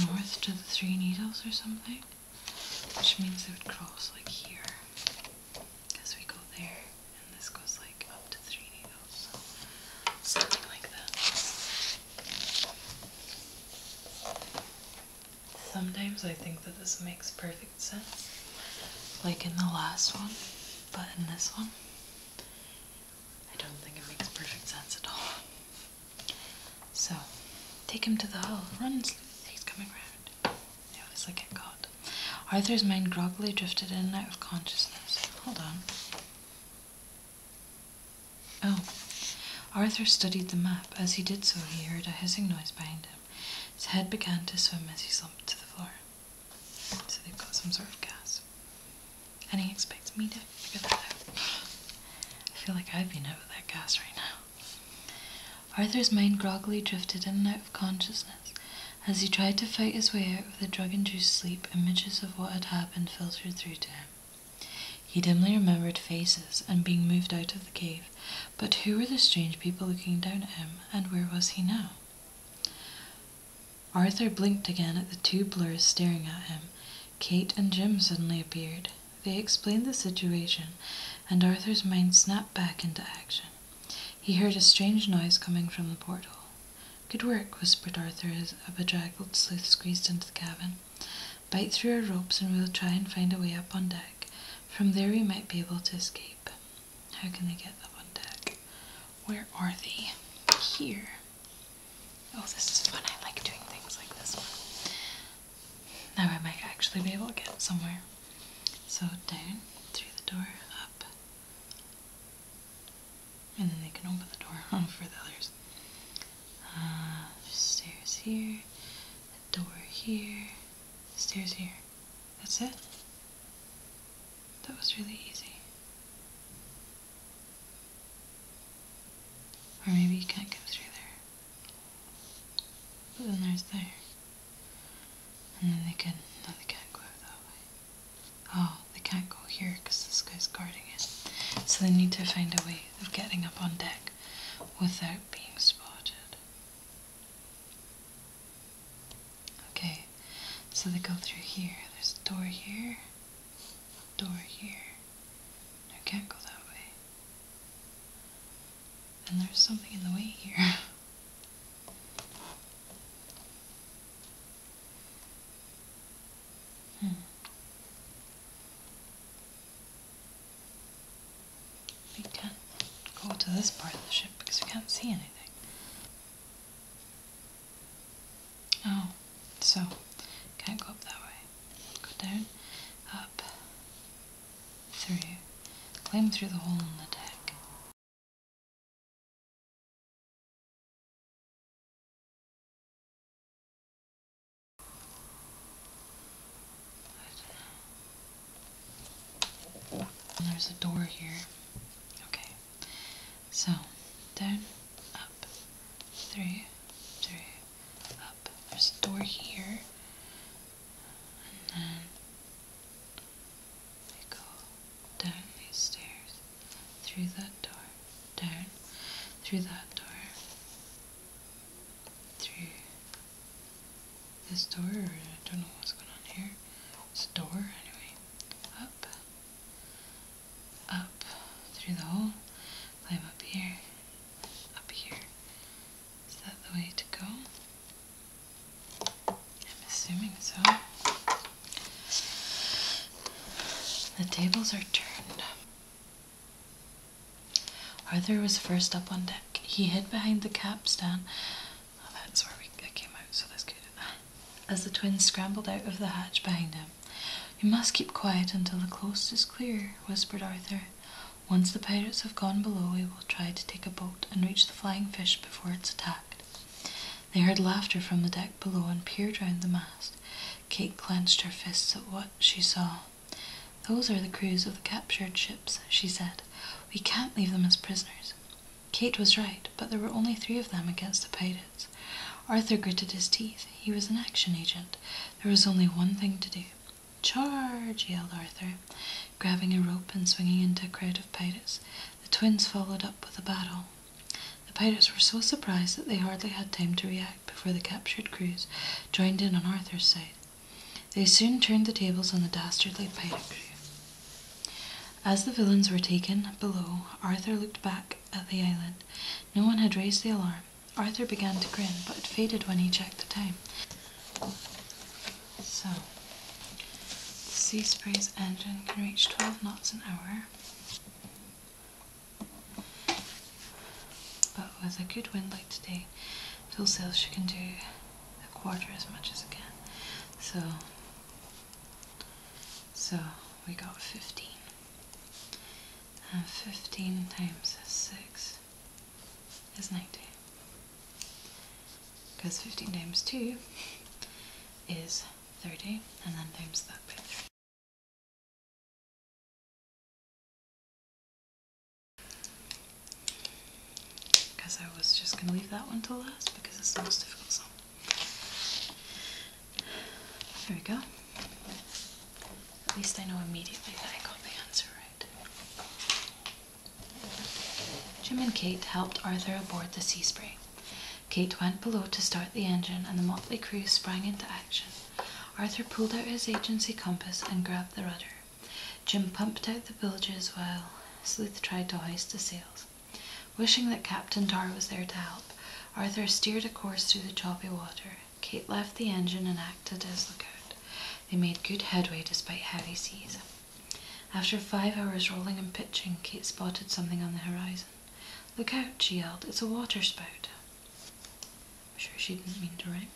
north to the Three Needles or something which means it would cross like here as we go there, and this goes like up to three needles, so something like that. Sometimes I think that this makes perfect sense, like in the last one, but in this one, I don't think it makes perfect sense at all. So, take him to the hall. Run, he's coming around. They obviously get caught. Arthur's mind groggily drifted in and out of consciousness. Hold on. Oh. Arthur studied the map. As he did so, he heard a hissing noise behind him. His head began to swim as he slumped to the floor. So they've got some sort of gas. And he expects me to figure that out. [GASPS] I feel like I've been out with that gas right now. Arthur's mind groggily drifted in and out of consciousness. As he tried to fight his way out of the drug induced sleep, images of what had happened filtered through to him. He dimly remembered faces and being moved out of the cave, but who were the strange people looking down at him, and where was he now? Arthur blinked again at the two blurs staring at him. Kate and Jim suddenly appeared. They explained the situation, and Arthur's mind snapped back into action. He heard a strange noise coming from the portal. Good work, whispered Arthur as a bedraggled sleuth squeezed into the cabin. Bite through our ropes and we'll try and find a way up on deck. From there we might be able to escape. How can they get up on deck? Where are they? Here. Oh, this is fun. I like doing things like this one. Now I might actually be able to get somewhere. So down through the door, up, and then they can open the door [LAUGHS] for the others. Uh, stairs here, a door here, stairs here. That's it. That was really easy. Or maybe you can't go through there. But then there's there. And then they can, no they can't go that way. Oh, they can't go here because this guy's guarding it. So they need to find a way of getting up on deck without being spotted. Okay, so they go through here. There's a door here, door here. No, can't go that way. And there's something in the way here. Hmm. We go to this part of the ship because we can't see anything. Oh, so can't go up that way. Go down, up, Three, climb through the hole in the deck. there's a door here. Okay. So, down, up, three, three, up. There's a door here and then we go down these stairs, through that door, down, through that door, through this door, I don't know what's going on here, it's a door anyway, up, up through the hole, climb up here, up here, is that the way to go? I'm assuming so. The tables are turned. Arthur was first up on deck. He hid behind the capstan. Oh, that's where we came out, so that's good. As the twins scrambled out of the hatch behind him. You must keep quiet until the coast is clear, whispered Arthur. Once the pirates have gone below, we will try to take a boat and reach the flying fish before it's attacked. They heard laughter from the deck below and peered round the mast. Kate clenched her fists at what she saw. Those are the crews of the captured ships, she said. We can't leave them as prisoners. Kate was right, but there were only three of them against the pirates. Arthur gritted his teeth. He was an action agent. There was only one thing to do Charge! yelled Arthur, grabbing a rope and swinging into a crowd of pirates. The twins followed up with a battle. The pirates were so surprised that they hardly had time to react before the captured crews joined in on Arthur's side. They soon turned the tables on the dastardly pirate crew. As the villains were taken below, Arthur looked back at the island. No one had raised the alarm, Arthur began to grin, but it faded when he checked the time. So, the Sea Spray's engine can reach 12 knots an hour, but with a good wind like today, full sail she can do a quarter as much as it can. So, so we got 15. And 15 times is 6 is 90. Because 15 times 2 is 30, and then times that by 3. Because I was just going to leave that one till last because it's the most difficult song. There we go. At least I know immediately that I got the answer right. Jim and Kate helped Arthur aboard the Seaspray. Kate went below to start the engine, and the motley crew sprang into action. Arthur pulled out his agency compass and grabbed the rudder. Jim pumped out the bilges while Sleuth tried to hoist the sails. Wishing that Captain Tar was there to help, Arthur steered a course through the choppy water. Kate left the engine and acted as lookout. They made good headway despite heavy seas. After five hours rolling and pitching, Kate spotted something on the horizon. Look out, she yelled, it's a waterspout." I'm sure she didn't mean to rhyme.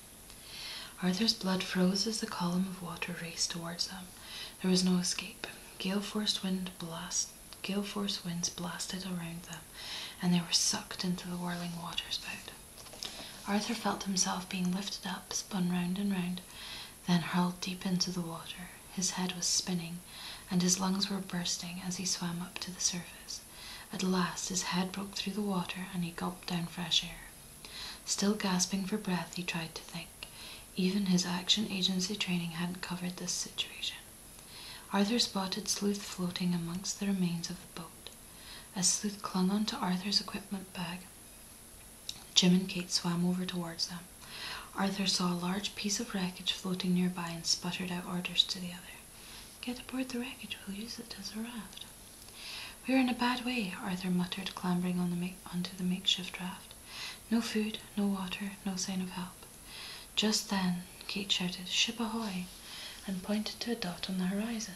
Arthur's blood froze as the column of water raced towards them. There was no escape. Gale force wind blast gale force winds blasted around them, and they were sucked into the whirling waterspout. Arthur felt himself being lifted up, spun round and round, then hurled deep into the water. His head was spinning, and his lungs were bursting as he swam up to the surface. At last his head broke through the water and he gulped down fresh air. Still gasping for breath, he tried to think. Even his action agency training hadn't covered this situation. Arthur spotted Sleuth floating amongst the remains of the boat as Sleuth clung on to Arthur's equipment bag. Jim and Kate swam over towards them. Arthur saw a large piece of wreckage floating nearby and sputtered out orders to the other. Get aboard the wreckage, we'll use it as a raft. We're in a bad way, Arthur muttered, clambering on the onto the makeshift raft. No food, no water, no sign of help. Just then, Kate shouted, Ship ahoy! and pointed to a dot on the horizon.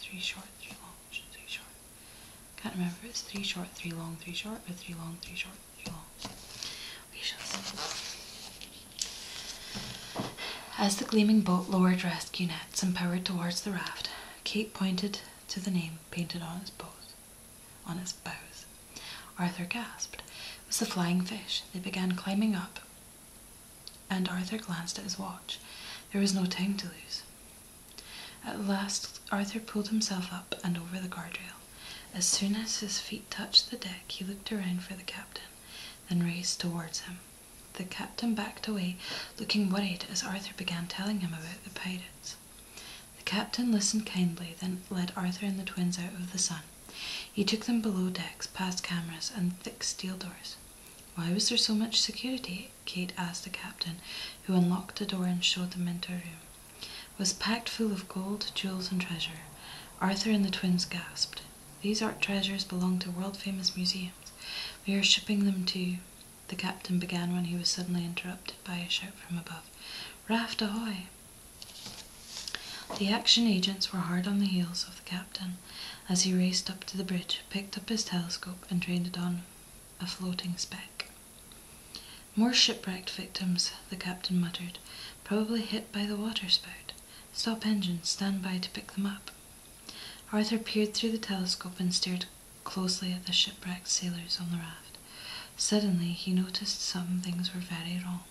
three short, three long, three short? Can't remember it's three short, three long, three short, or three long, three short, three long. We shall As the gleaming boat lowered rescue nets and powered towards the raft, Kate pointed to the name painted on its bows. On its bows, Arthur gasped. It was the flying fish. They began climbing up and Arthur glanced at his watch. There was no time to lose. At last, Arthur pulled himself up and over the guardrail. As soon as his feet touched the deck, he looked around for the captain, then raced towards him. The captain backed away, looking worried as Arthur began telling him about the pirates. The captain listened kindly, then led Arthur and the twins out of the sun. He took them below decks, past cameras and thick steel doors. Why was there so much security? Kate asked the captain, who unlocked the door and showed them into a room. It was packed full of gold, jewels, and treasure. Arthur and the twins gasped. These art treasures belong to world famous museums. We are shipping them to The captain began when he was suddenly interrupted by a shout from above. Raft ahoy! The action agents were hard on the heels of the captain as he raced up to the bridge, picked up his telescope, and trained it on a floating speck. More shipwrecked victims, the captain muttered, probably hit by the waterspout. Stop engines, stand by to pick them up. Arthur peered through the telescope and stared closely at the shipwrecked sailors on the raft. Suddenly, he noticed some things were very wrong.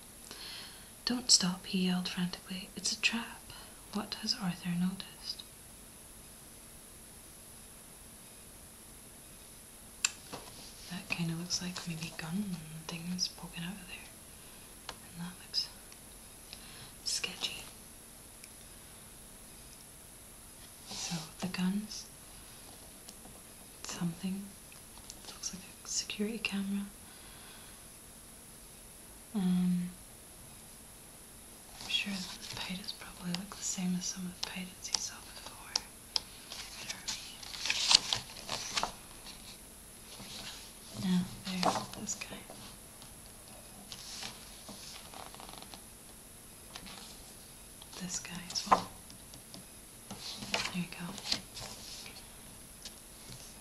Don't stop, he yelled frantically. It's a trap. What has Arthur noticed? That kind of looks like maybe gun things poking out of there. And that looks sketchy. So the guns, something, looks like a security camera, um, I'm sure the pitas probably look the same as some of the pitas he saw before Now, oh, there, this guy. This guy as well. There you go.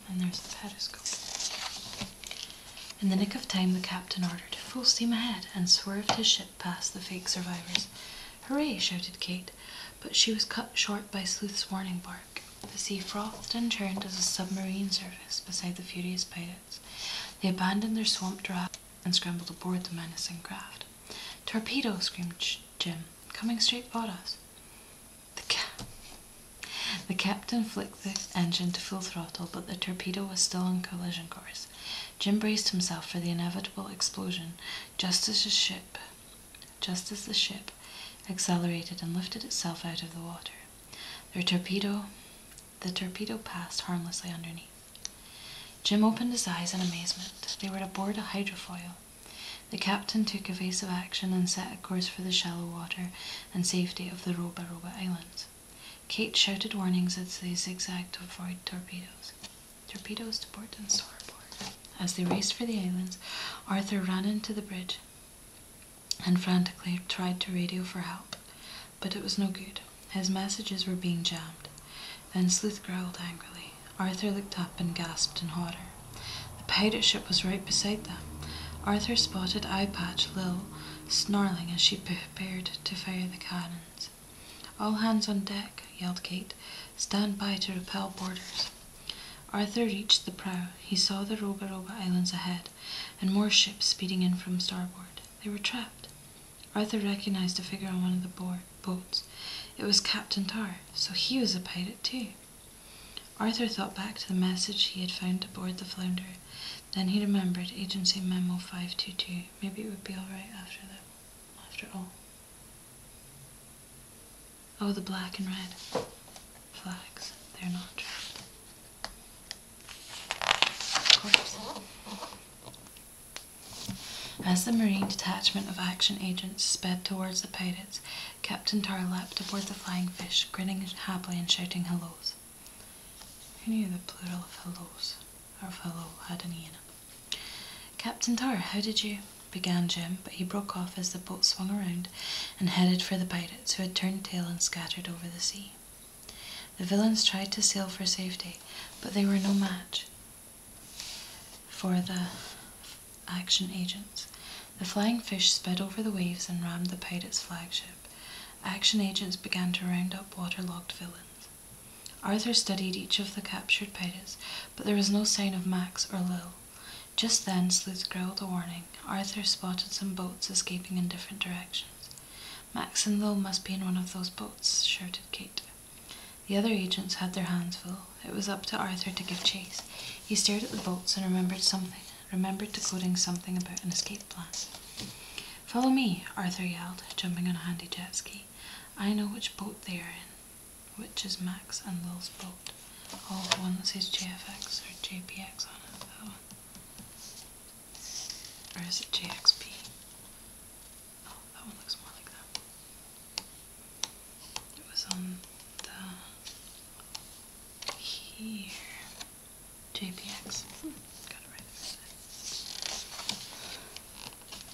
And there's the periscope. In the nick of time, the captain ordered full steam ahead and swerved his ship past the fake survivors. Hooray! shouted Kate, but she was cut short by Sleuth's warning bark. The sea frothed and churned as a submarine surfaced beside the furious pirates. They abandoned their swamp raft and scrambled aboard the menacing craft. Torpedo! screamed Jim, coming straight for us. The, cap the captain flicked the engine to full throttle, but the torpedo was still on collision course. Jim braced himself for the inevitable explosion just as the ship just as the ship accelerated and lifted itself out of the water. The torpedo the torpedo passed harmlessly underneath. Jim opened his eyes in amazement. They were aboard a hydrofoil. The captain took evasive action and set a course for the shallow water and safety of the Roba Roba Islands. Kate shouted warnings as they zigzagged to avoid torpedoes. Torpedoes to port and starboard. As they raced for the islands, Arthur ran into the bridge and frantically tried to radio for help, but it was no good. His messages were being jammed. Then Sleuth growled angrily. Arthur looked up and gasped in horror. The pirate ship was right beside them. Arthur spotted Eye Patch Lil snarling as she prepared to fire the cannons. All hands on deck, yelled Kate. Stand by to repel boarders. Arthur reached the prow. He saw the Roba Roba Islands ahead and more ships speeding in from starboard. They were trapped. Arthur recognized a figure on one of the board, boats. It was Captain Tar, so he was a pirate too. Arthur thought back to the message he had found aboard the Flounder. Then he remembered Agency Memo 522. Maybe it would be alright after all. after all. Oh, the black and red flags. They're not trapped. As the Marine detachment of action agents sped towards the pirates, Captain Tar leapt aboard the flying fish, grinning happily and shouting hellos. Who knew the plural of hellos or of had an E Captain Tar, how did you? began Jim, but he broke off as the boat swung around and headed for the pirates, who had turned tail and scattered over the sea. The villains tried to sail for safety, but they were no match for the action agents. The flying fish sped over the waves and rammed the pirate's flagship action agents began to round up waterlogged villains. Arthur studied each of the captured pirates, but there was no sign of Max or Lil. Just then, Sleuth growled a warning. Arthur spotted some boats escaping in different directions. Max and Lil must be in one of those boats, shouted Kate. The other agents had their hands full. It was up to Arthur to give chase. He stared at the boats and remembered something remembered decoding something about an escape plan. Follow me, Arthur yelled, jumping on a handy jet ski. I know which boat they are in, which is Max and Lill's boat. Oh, the one that says JFX or JPX on it, that oh. one. Or is it JXP? Oh, that one looks more like that. It was on the... here. JPX.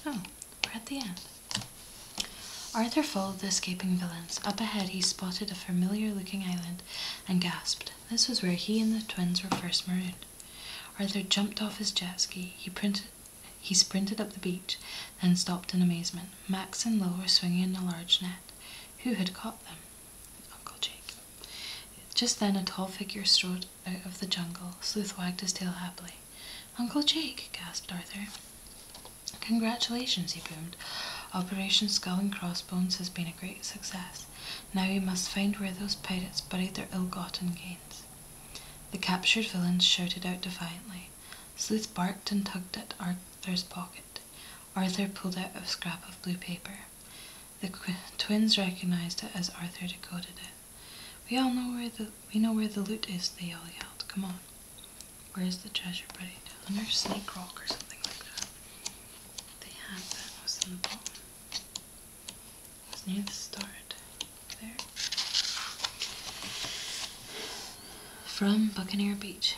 Oh, we're at the end. Arthur followed the escaping villains. Up ahead, he spotted a familiar looking island and gasped. This was where he and the twins were first marooned. Arthur jumped off his jet ski. He, printed, he sprinted up the beach, then stopped in amazement. Max and Lo were swinging a large net. Who had caught them? Uncle Jake. Just then a tall figure strode out of the jungle. Sleuth wagged his tail happily. Uncle Jake, gasped Arthur. Congratulations, he boomed. Operation Skull and Crossbones has been a great success. Now we must find where those pirates buried their ill-gotten gains. The captured villains shouted out defiantly. Sleuth barked and tugged at Arthur's pocket. Arthur pulled out a scrap of blue paper. The twins recognized it as Arthur decoded it. We all know where the we know where the loot is. They all yelled. Come on. Where is the treasure buddy? Under Snake Rock or something like that. They had that was in the bottom. It was near the start. There. From Buccaneer Beach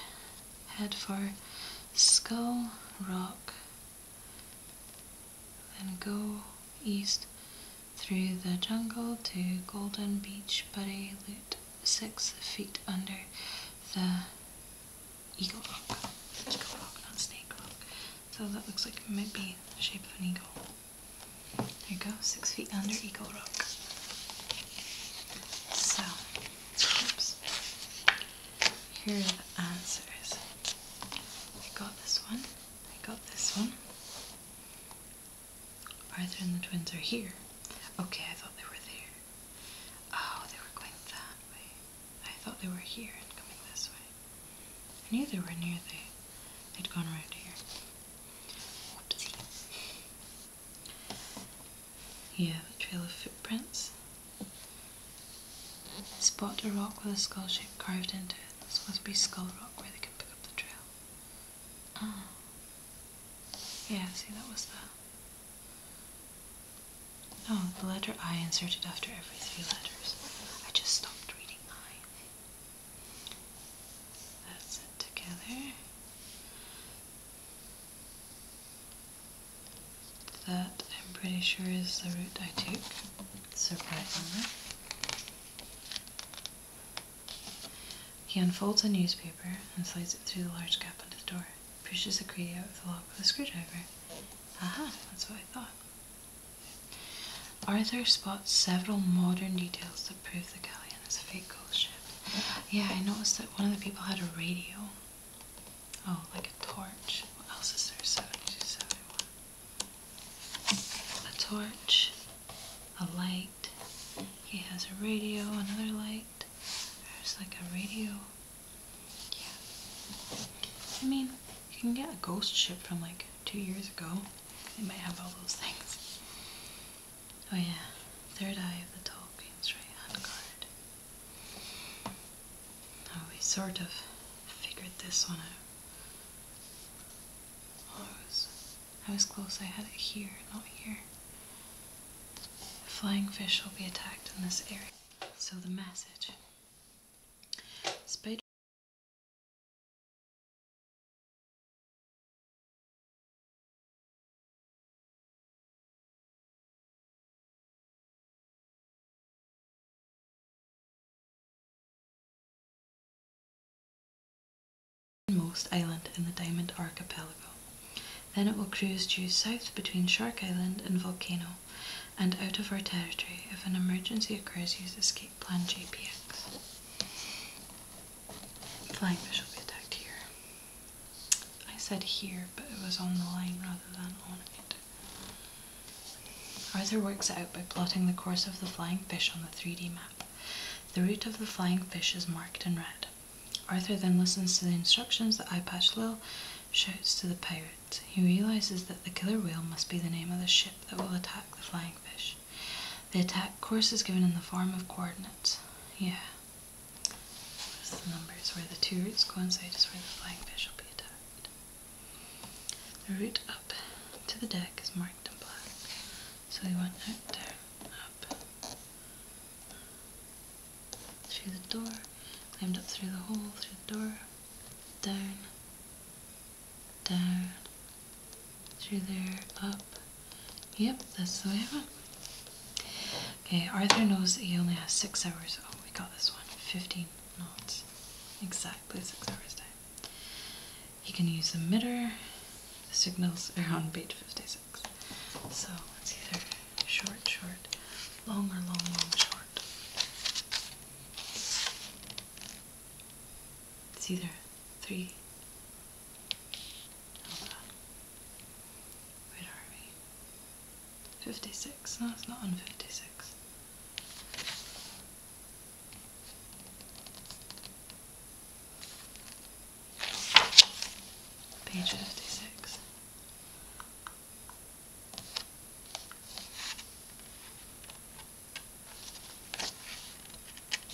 head for Skull Rock, then go east through the jungle to Golden Beach, Buddy Loot, six feet under the Eagle Rock. Eagle Rock, not Snake Rock. So that looks like it might be the shape of an eagle. There you go, six feet under Eagle Rock. So, oops. Here are the answers. I got this one. I got this one. Arthur and the twins are here. Okay, I thought they were there. Oh, they were going that way. I thought they were here and coming this way. I knew they were near they. They'd gone around here. Whoopsie. You have a trail of footprints. Spot a rock with a skull shape carved into it. This must be Skull Rock where they can pick up the trail. Ah. Yeah, see, that was that. Oh, the letter I inserted after every three letters. I just stopped reading I. That's it together. That I'm pretty sure is the route I took, surprisingly. He unfolds a newspaper and slides it through the large gap under the door, pushes the crate out of the lock with a screwdriver. Aha, that's what I thought. Arthur spots several modern details that prove the galleon is a fake ghost ship. Yeah, I noticed that one of the people had a radio, Oh, like a torch. What else is there? 72, 71. A torch, a light. He has a radio, another light. There's like a radio. Yeah. I mean, you can get a ghost ship from like two years ago. They might have all those things. Oh yeah, third eye of the Tolkien's right hand card we sort of figured this one out. Oh, I was, I was close. I had it here, not here. flying fish will be attacked in this area. So the message. Spider most island in the Diamond Archipelago. Then it will cruise due south between Shark Island and Volcano and out of our territory. If an emergency occurs, use escape plan JPX. Flying fish will be attacked here. I said here, but it was on the line rather than on it. Arthur works out by plotting the course of the flying fish on the 3D map. The route of the flying fish is marked in red. Arthur then listens to the instructions that Eyepatch Lil shouts to the pirates. He realizes that the killer whale must be the name of the ship that will attack the flying fish. The attack course is given in the form of coordinates. Yeah, Notice the numbers where the two roots go, coincide is where the flying fish will be attacked. The route up to the deck is marked in black, so we went out, down, up, through the door, climbed up through the hole, through the door, down, down, through there, up. Yep, that's the way I went. Okay, Arthur knows that he only has six hours. Oh, we got this one. 15 knots. Exactly six hours time. He can use the emitter. The signals are on mm-hmm. page 56. So it's either short, short, long, or long, long, short. It's either three. Hold on. Where are 56. No, it's not on 56. Page 56.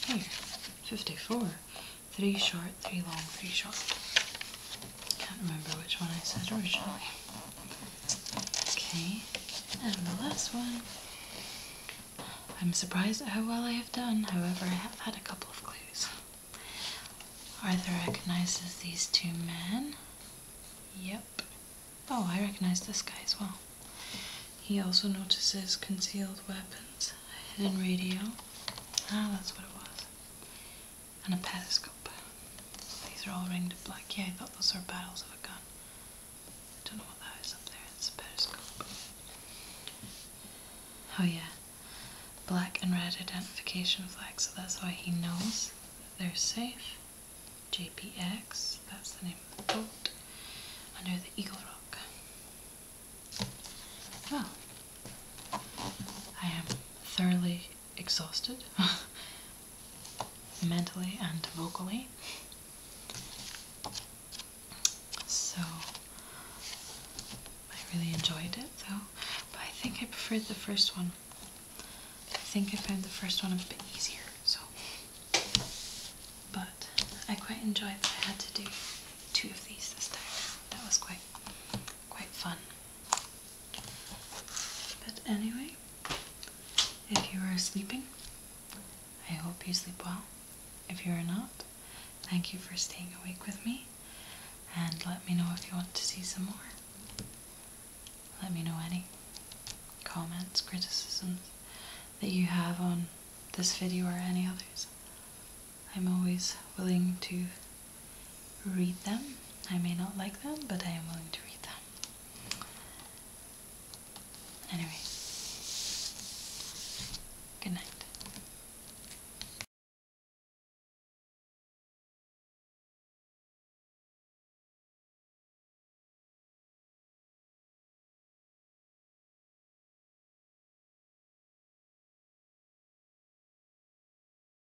Here, 54. Three short, three long, three short. Can't remember which one I said originally. Okay, and the last one. I'm surprised how well I have done, however, I have had a couple of clues. Arthur recognizes these two men. Yep. Oh, I recognize this guy as well. He also notices concealed weapons, a hidden radio. Ah, that's what it was and a periscope. These are all ringed in black. Yeah, I thought those were barrels of a gun. don't know what that is up there. It's a periscope. Oh yeah, black and red identification flags. So that's why he knows they're safe. JPX. That's the name of the boat. Under the Eagle Rock. Well, I am thoroughly exhausted [LAUGHS] mentally and vocally. So I really enjoyed it though, but I think I preferred the first one. I think I found the first one a bit easier, so. But I quite enjoyed that I had to do two of these this time. That was quite quite fun. But anyway, if you are sleeping, I hope you sleep well. If you are not, thank you for staying awake with me and let me know if you want to see some more. Let me know any comments, criticisms that you have on this video or any others. I'm always willing to read them. I may not like them, but I am willing to read them. Anyway, good night.